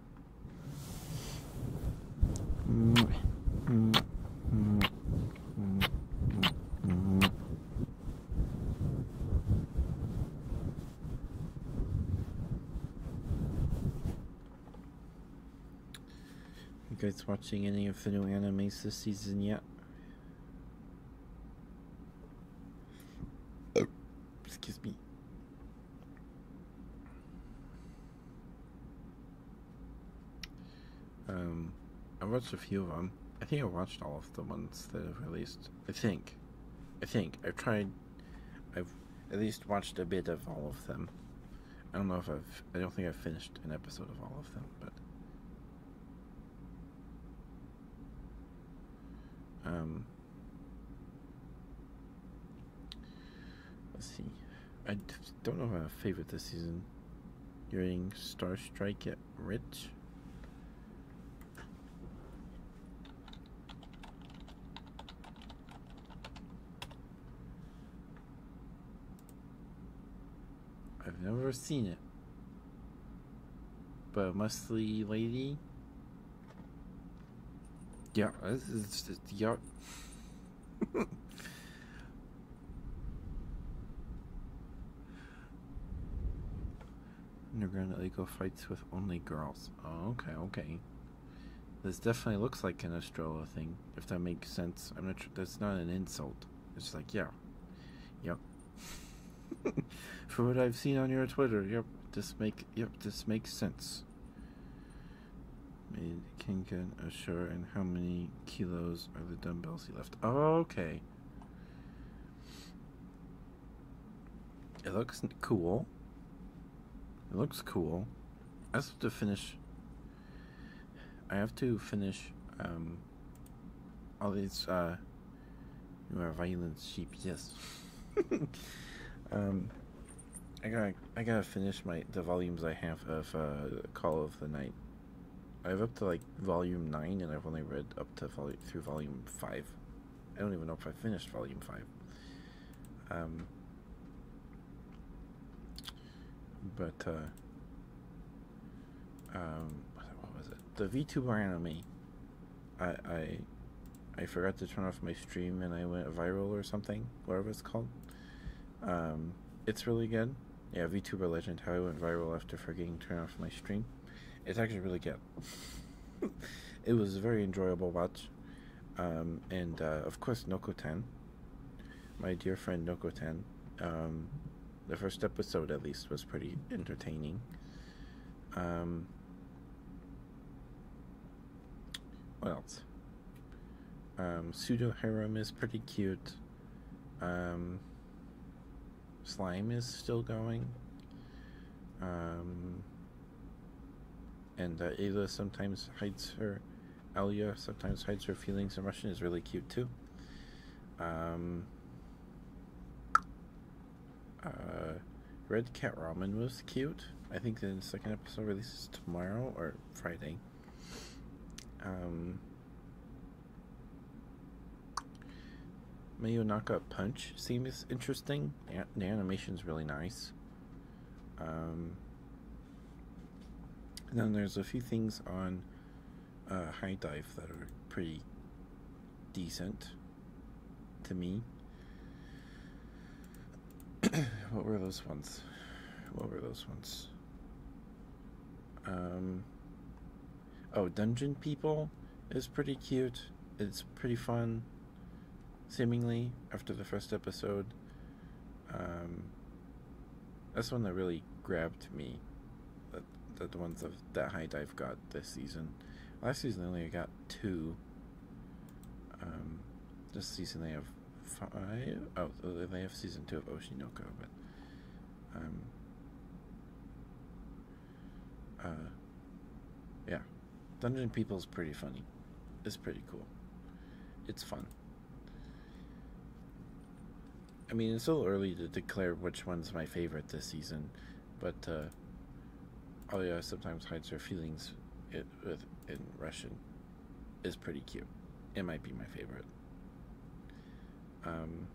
You guys watching any of the new animes this season yet? Oh, excuse me. Um, I watched a few of them. I think I watched all of the ones that have released. I think. I think. I've tried. I've at least watched a bit of all of them. I don't know if I've. I don't think I've finished an episode of all of them, but. Um, Let's see. I don't know if I have favorite this season. You're eating Star Strike at Rich. I've never seen it. But Muscly Lady yeah, uh, this is Ja, ja. Underground illegal fights with only girls. Oh, okay, okay. This definitely looks like an Estrella thing, if that makes sense. I'm not sure. That's not an insult. It's like, yeah. Yep. *laughs* From what I've seen on your Twitter, yep. This make yep, this makes sense. Made Kinkan ashore, and how many kilos are the dumbbells he left? okay. It looks cool. It looks cool. I have to finish. I have to finish um, all these. Uh, you violent sheep, yes. *laughs* um, I gotta, I gotta finish my the volumes I have of uh, Call of the Night. I have up to like volume nine, and I've only read up to volume through volume five. I don't even know if I finished volume five. Um, but uh, um, what was it? The V two VTuber anime. I I I forgot to turn off my stream and I went viral or something, whatever it's called. Um, it's really good. Yeah, VTuber Legend, how I went viral after forgetting to turn off my stream. It's actually really good. *laughs* it was a very enjoyable watch. Um, and uh, of course, Nokoten, my dear friend Nokoten. Um, the first episode, at least, was pretty entertaining. Um, what else? Um, pseudo Harem is pretty cute. Um, slime is still going. Um, and uh, sometimes hides her, Alia sometimes hides her feelings And Russian is really cute too. Uh, red Cat Ramen was cute. I think the second episode releases tomorrow or Friday. Um, Mayu Naka Punch seems interesting. The, animation is really nice. Um, and then there's a few things on uh, High Dive that are pretty decent to me what were those ones? What were those ones? Um, oh, Dungeon People is pretty cute. It's pretty fun, seemingly, after the first episode. Um, that's one that really grabbed me. That, that ones of that height I've got this season. Last season I only got two. Um, this season they have five. Oh, they have season two of Oshinoko, but um, uh, yeah, Dungeon People is pretty funny. It's pretty cool. It's fun. I mean, it's a little early to declare which one's my favorite this season, but uh, oh Alia sometimes hides her feelings it, with, in Russian is pretty cute. It might be my favorite. Um,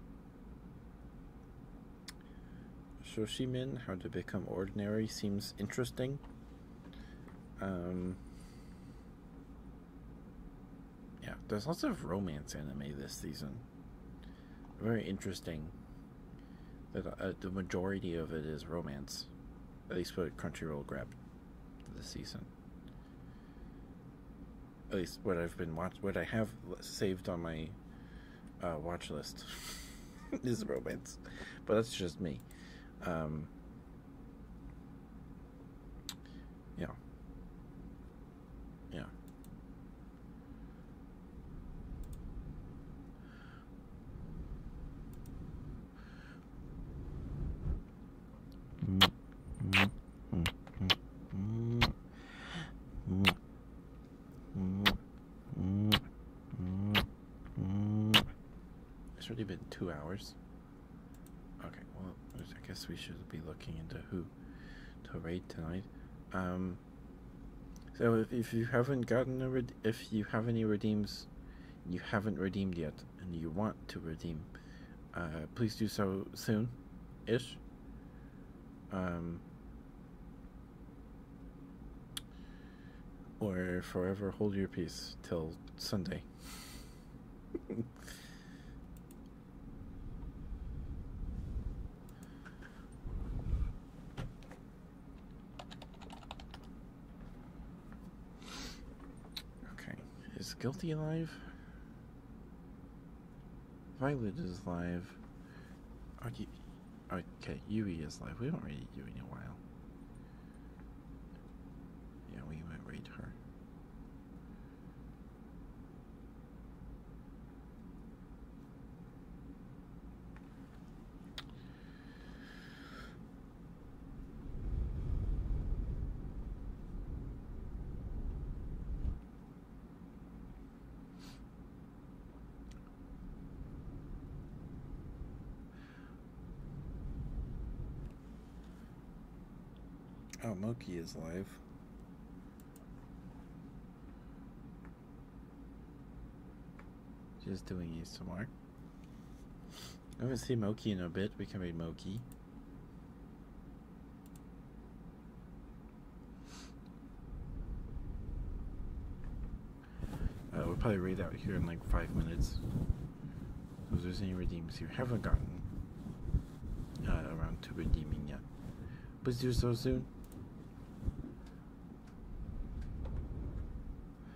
Shoshimin, How to Become Ordinary, seems interesting. Um, yeah, there's lots of romance anime this season. Very interesting that uh, the majority of it is romance, at least for Crunchyroll Grab. The season. At least what I've been watch, what I have saved on my uh, watch list *laughs* is romance, but that's just me. Um, yeah, yeah. It's already been two hours. Okay, well, I guess we should be looking into who to raid tonight. Um, so if, if you haven't gotten a if you have any redeems, you haven't redeemed yet and you want to redeem, uh, please do so soon ish. Um, or forever hold your peace till Sunday. Okay. Is Guilty alive? Violet is alive. Are okay, Yui is alive. We haven't read Yui in a while. Yeah, we might read her. Oh, Moki is live. Just doing ASMR. I haven't seen Moki in a bit. We can read Moki. Uh, we'll probably read out here in like five minutes. Was there any redeems you haven't gotten uh, around to redeeming yet, Was there so soon.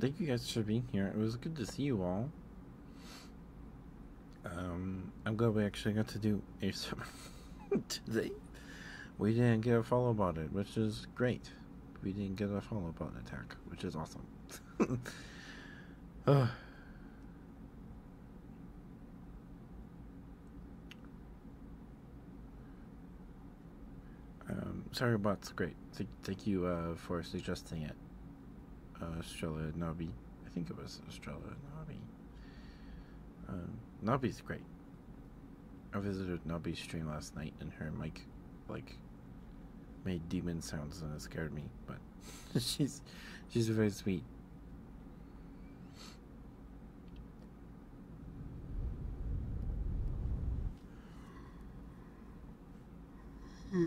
Thank you guys for being here. It was good to see you all. Um, I'm glad we actually got to do a *laughs* today. We didn't get a follow about it, which is great we didn't get a follow-up on attack, which is awesome. *laughs* uh. Um, sorry, bot's great. thank you uh, for suggesting it. Uh, Estrella Nabi. I think it was Estrella Nabi. Um, Nabi's great. I visited Nobby's stream last night and her mic like made demon sounds and it scared me, but *laughs* she's she's very sweet. Hmm.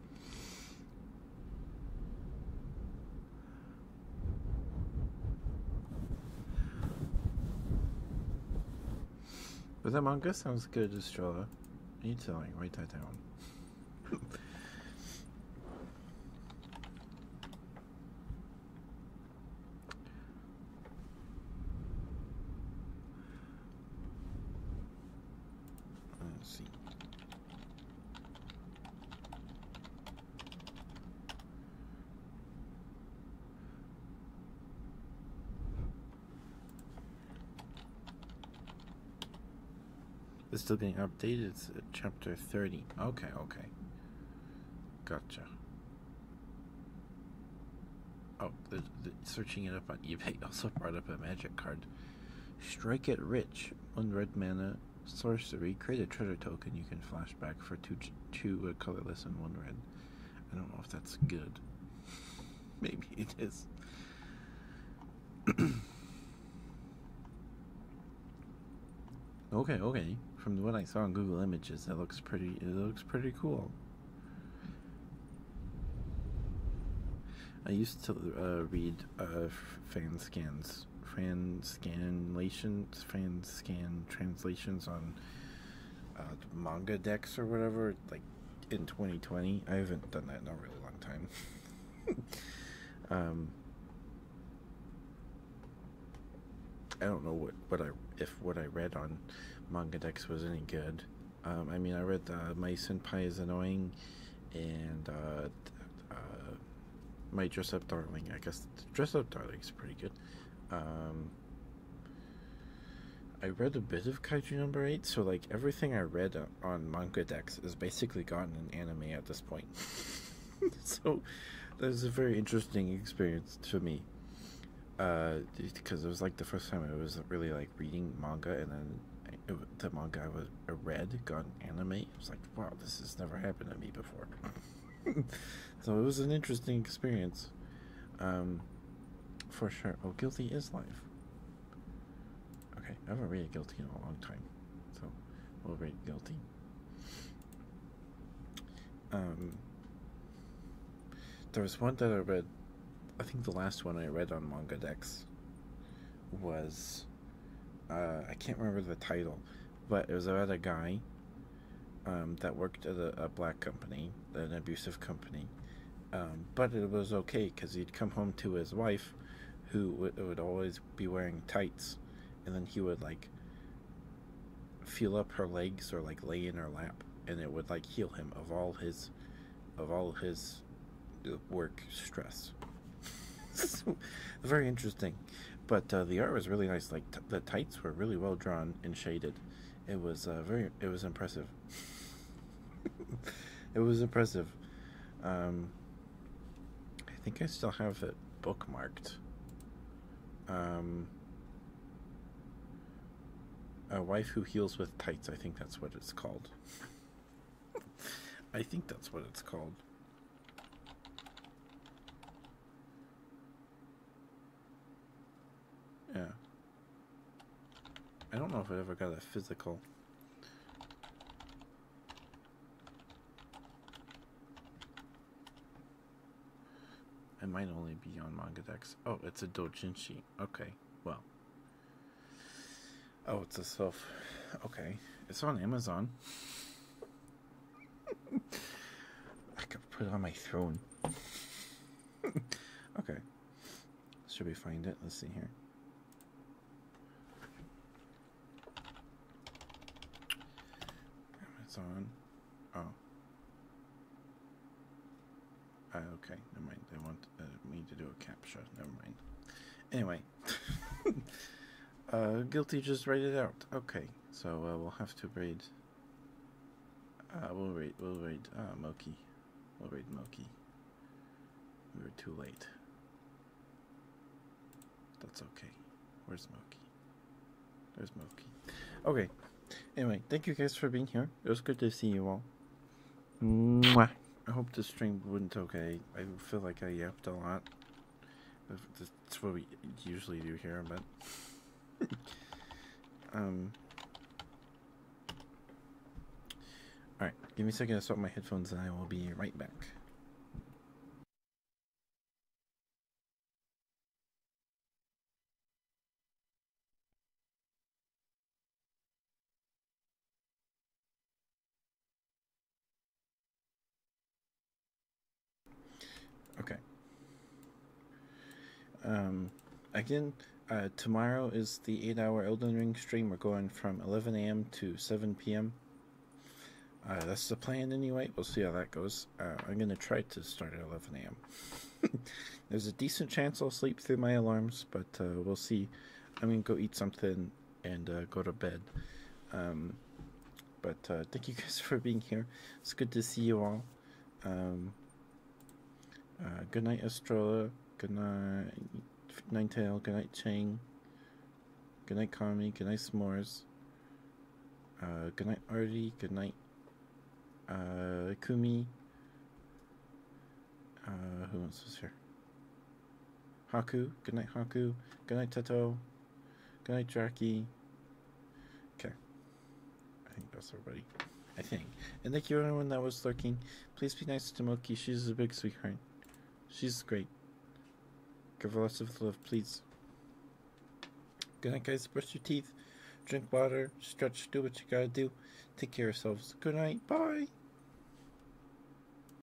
But that manga sounds good, Estrella. Are you telling? like write that down. *laughs* Let's see. It's still getting updated. It's chapter 30. Okay, okay. Gotcha. Oh, the, searching it up on eBay *laughs* also brought up a magic card. Strike it rich. One red mana sorcery. Create a treasure token you can flashback for two, two uh, colorless and one red. I don't know if that's good. Maybe it is. okay, okay. From what I saw on Google Images, that looks pretty. It looks pretty cool. I used to uh, read uh, fan scans, fan scanlations, fan scan translations on uh, manga decks or whatever, like in 2020. I haven't done that in a really long time. *laughs* um, I don't know what, what I if what I read on manga decks was any good. Um, I mean, I read uh, My Senpai is Annoying and uh, uh, my dress up darling. I guess dress up darling is pretty good. Um, I read a bit of Kaiju number eight, so like everything I read on manga Dex is basically gotten in anime at this point. *laughs* so that was a very interesting experience to me. Uh, because it was like the first time I was really like reading manga and then the manga was a uh, read got an anime. It was like, wow, this has never happened to me before. *laughs* so it was an interesting experience, um, for sure. Oh, guilty is life. Okay, I haven't read guilty in a long time, so we'll read guilty. Um, there was one that I read. I think the last one I read on Manga Dex was uh, I can't remember the title, but it was about a guy um, that worked at a, black company, an abusive company. Um, but it was okay because he'd come home to his wife, who would always be wearing tights, and then he would like feel up her legs or like lay in her lap, and it would like heal him of all his, of all his work stress. *laughs* Very interesting. But uh, the art was really nice. Like the tights were really well drawn and shaded. It was uh, very. It was impressive. *laughs* it was impressive. Um, I think I still have it bookmarked. Um, a wife who heals with tights. I think that's what it's called. I think that's what it's called. Yeah. I don't know if I ever got a physical. It might only be on manga Dex. Oh, it's a doujinshi. Okay, well. Oh, it's a self. Okay, it's on Amazon. *laughs* I could put on my throne. *laughs* okay, should we find it? Let's see here. Amazon. Oh. Uh, okay, never mind. They want uh, me to do a capture. Never mind. Anyway, *laughs* Uh, guilty, just write it out. Okay, so uh, we'll have to raid. Uh, we'll raid. We'll raid. Uh, Moki. We'll raid Moki. We are too late. That's okay. Where's Moki? Where's Moki. Okay. Anyway, thank you guys for being here. It was good to see you all. Mwah. I hope this stream wouldn't okay. I feel like I yapped a lot. That's what we usually do here, but... *laughs* um... Alright, give me a second to swap my headphones and I will be right back. Okay. Um, again, uh, tomorrow is the 8 hour Elden Ring stream. We're going from 11 a.m. to 7 p.m. Uh, that's the plan anyway. We'll see how that goes. Uh, I'm going to try to start at 11 a.m. *laughs* There's a decent chance I'll sleep through my alarms, but uh, we'll see. I'm going to go eat something and uh, go to bed. Um, but uh, thank you guys *laughs* for being here. It's good to see you all. Um, uh, good night, Estrella. Good night, Night Tail. Good night, Chang. Good night, Kami. Good night, S'mores. good night, Artie. Good night, Kumi. who else was here? Haku. Good night, Haku. Good night, Teto. Good night, Jackie. Okay. I think that's everybody. I think. And thank you everyone that was lurking. Please be nice to Moki. She's a big sweetheart. She's great. Give her lots of love, please. Good night, guys. Brush your teeth. Drink water. Stretch. Do what you gotta do. Take care of yourselves. Good night. Bye.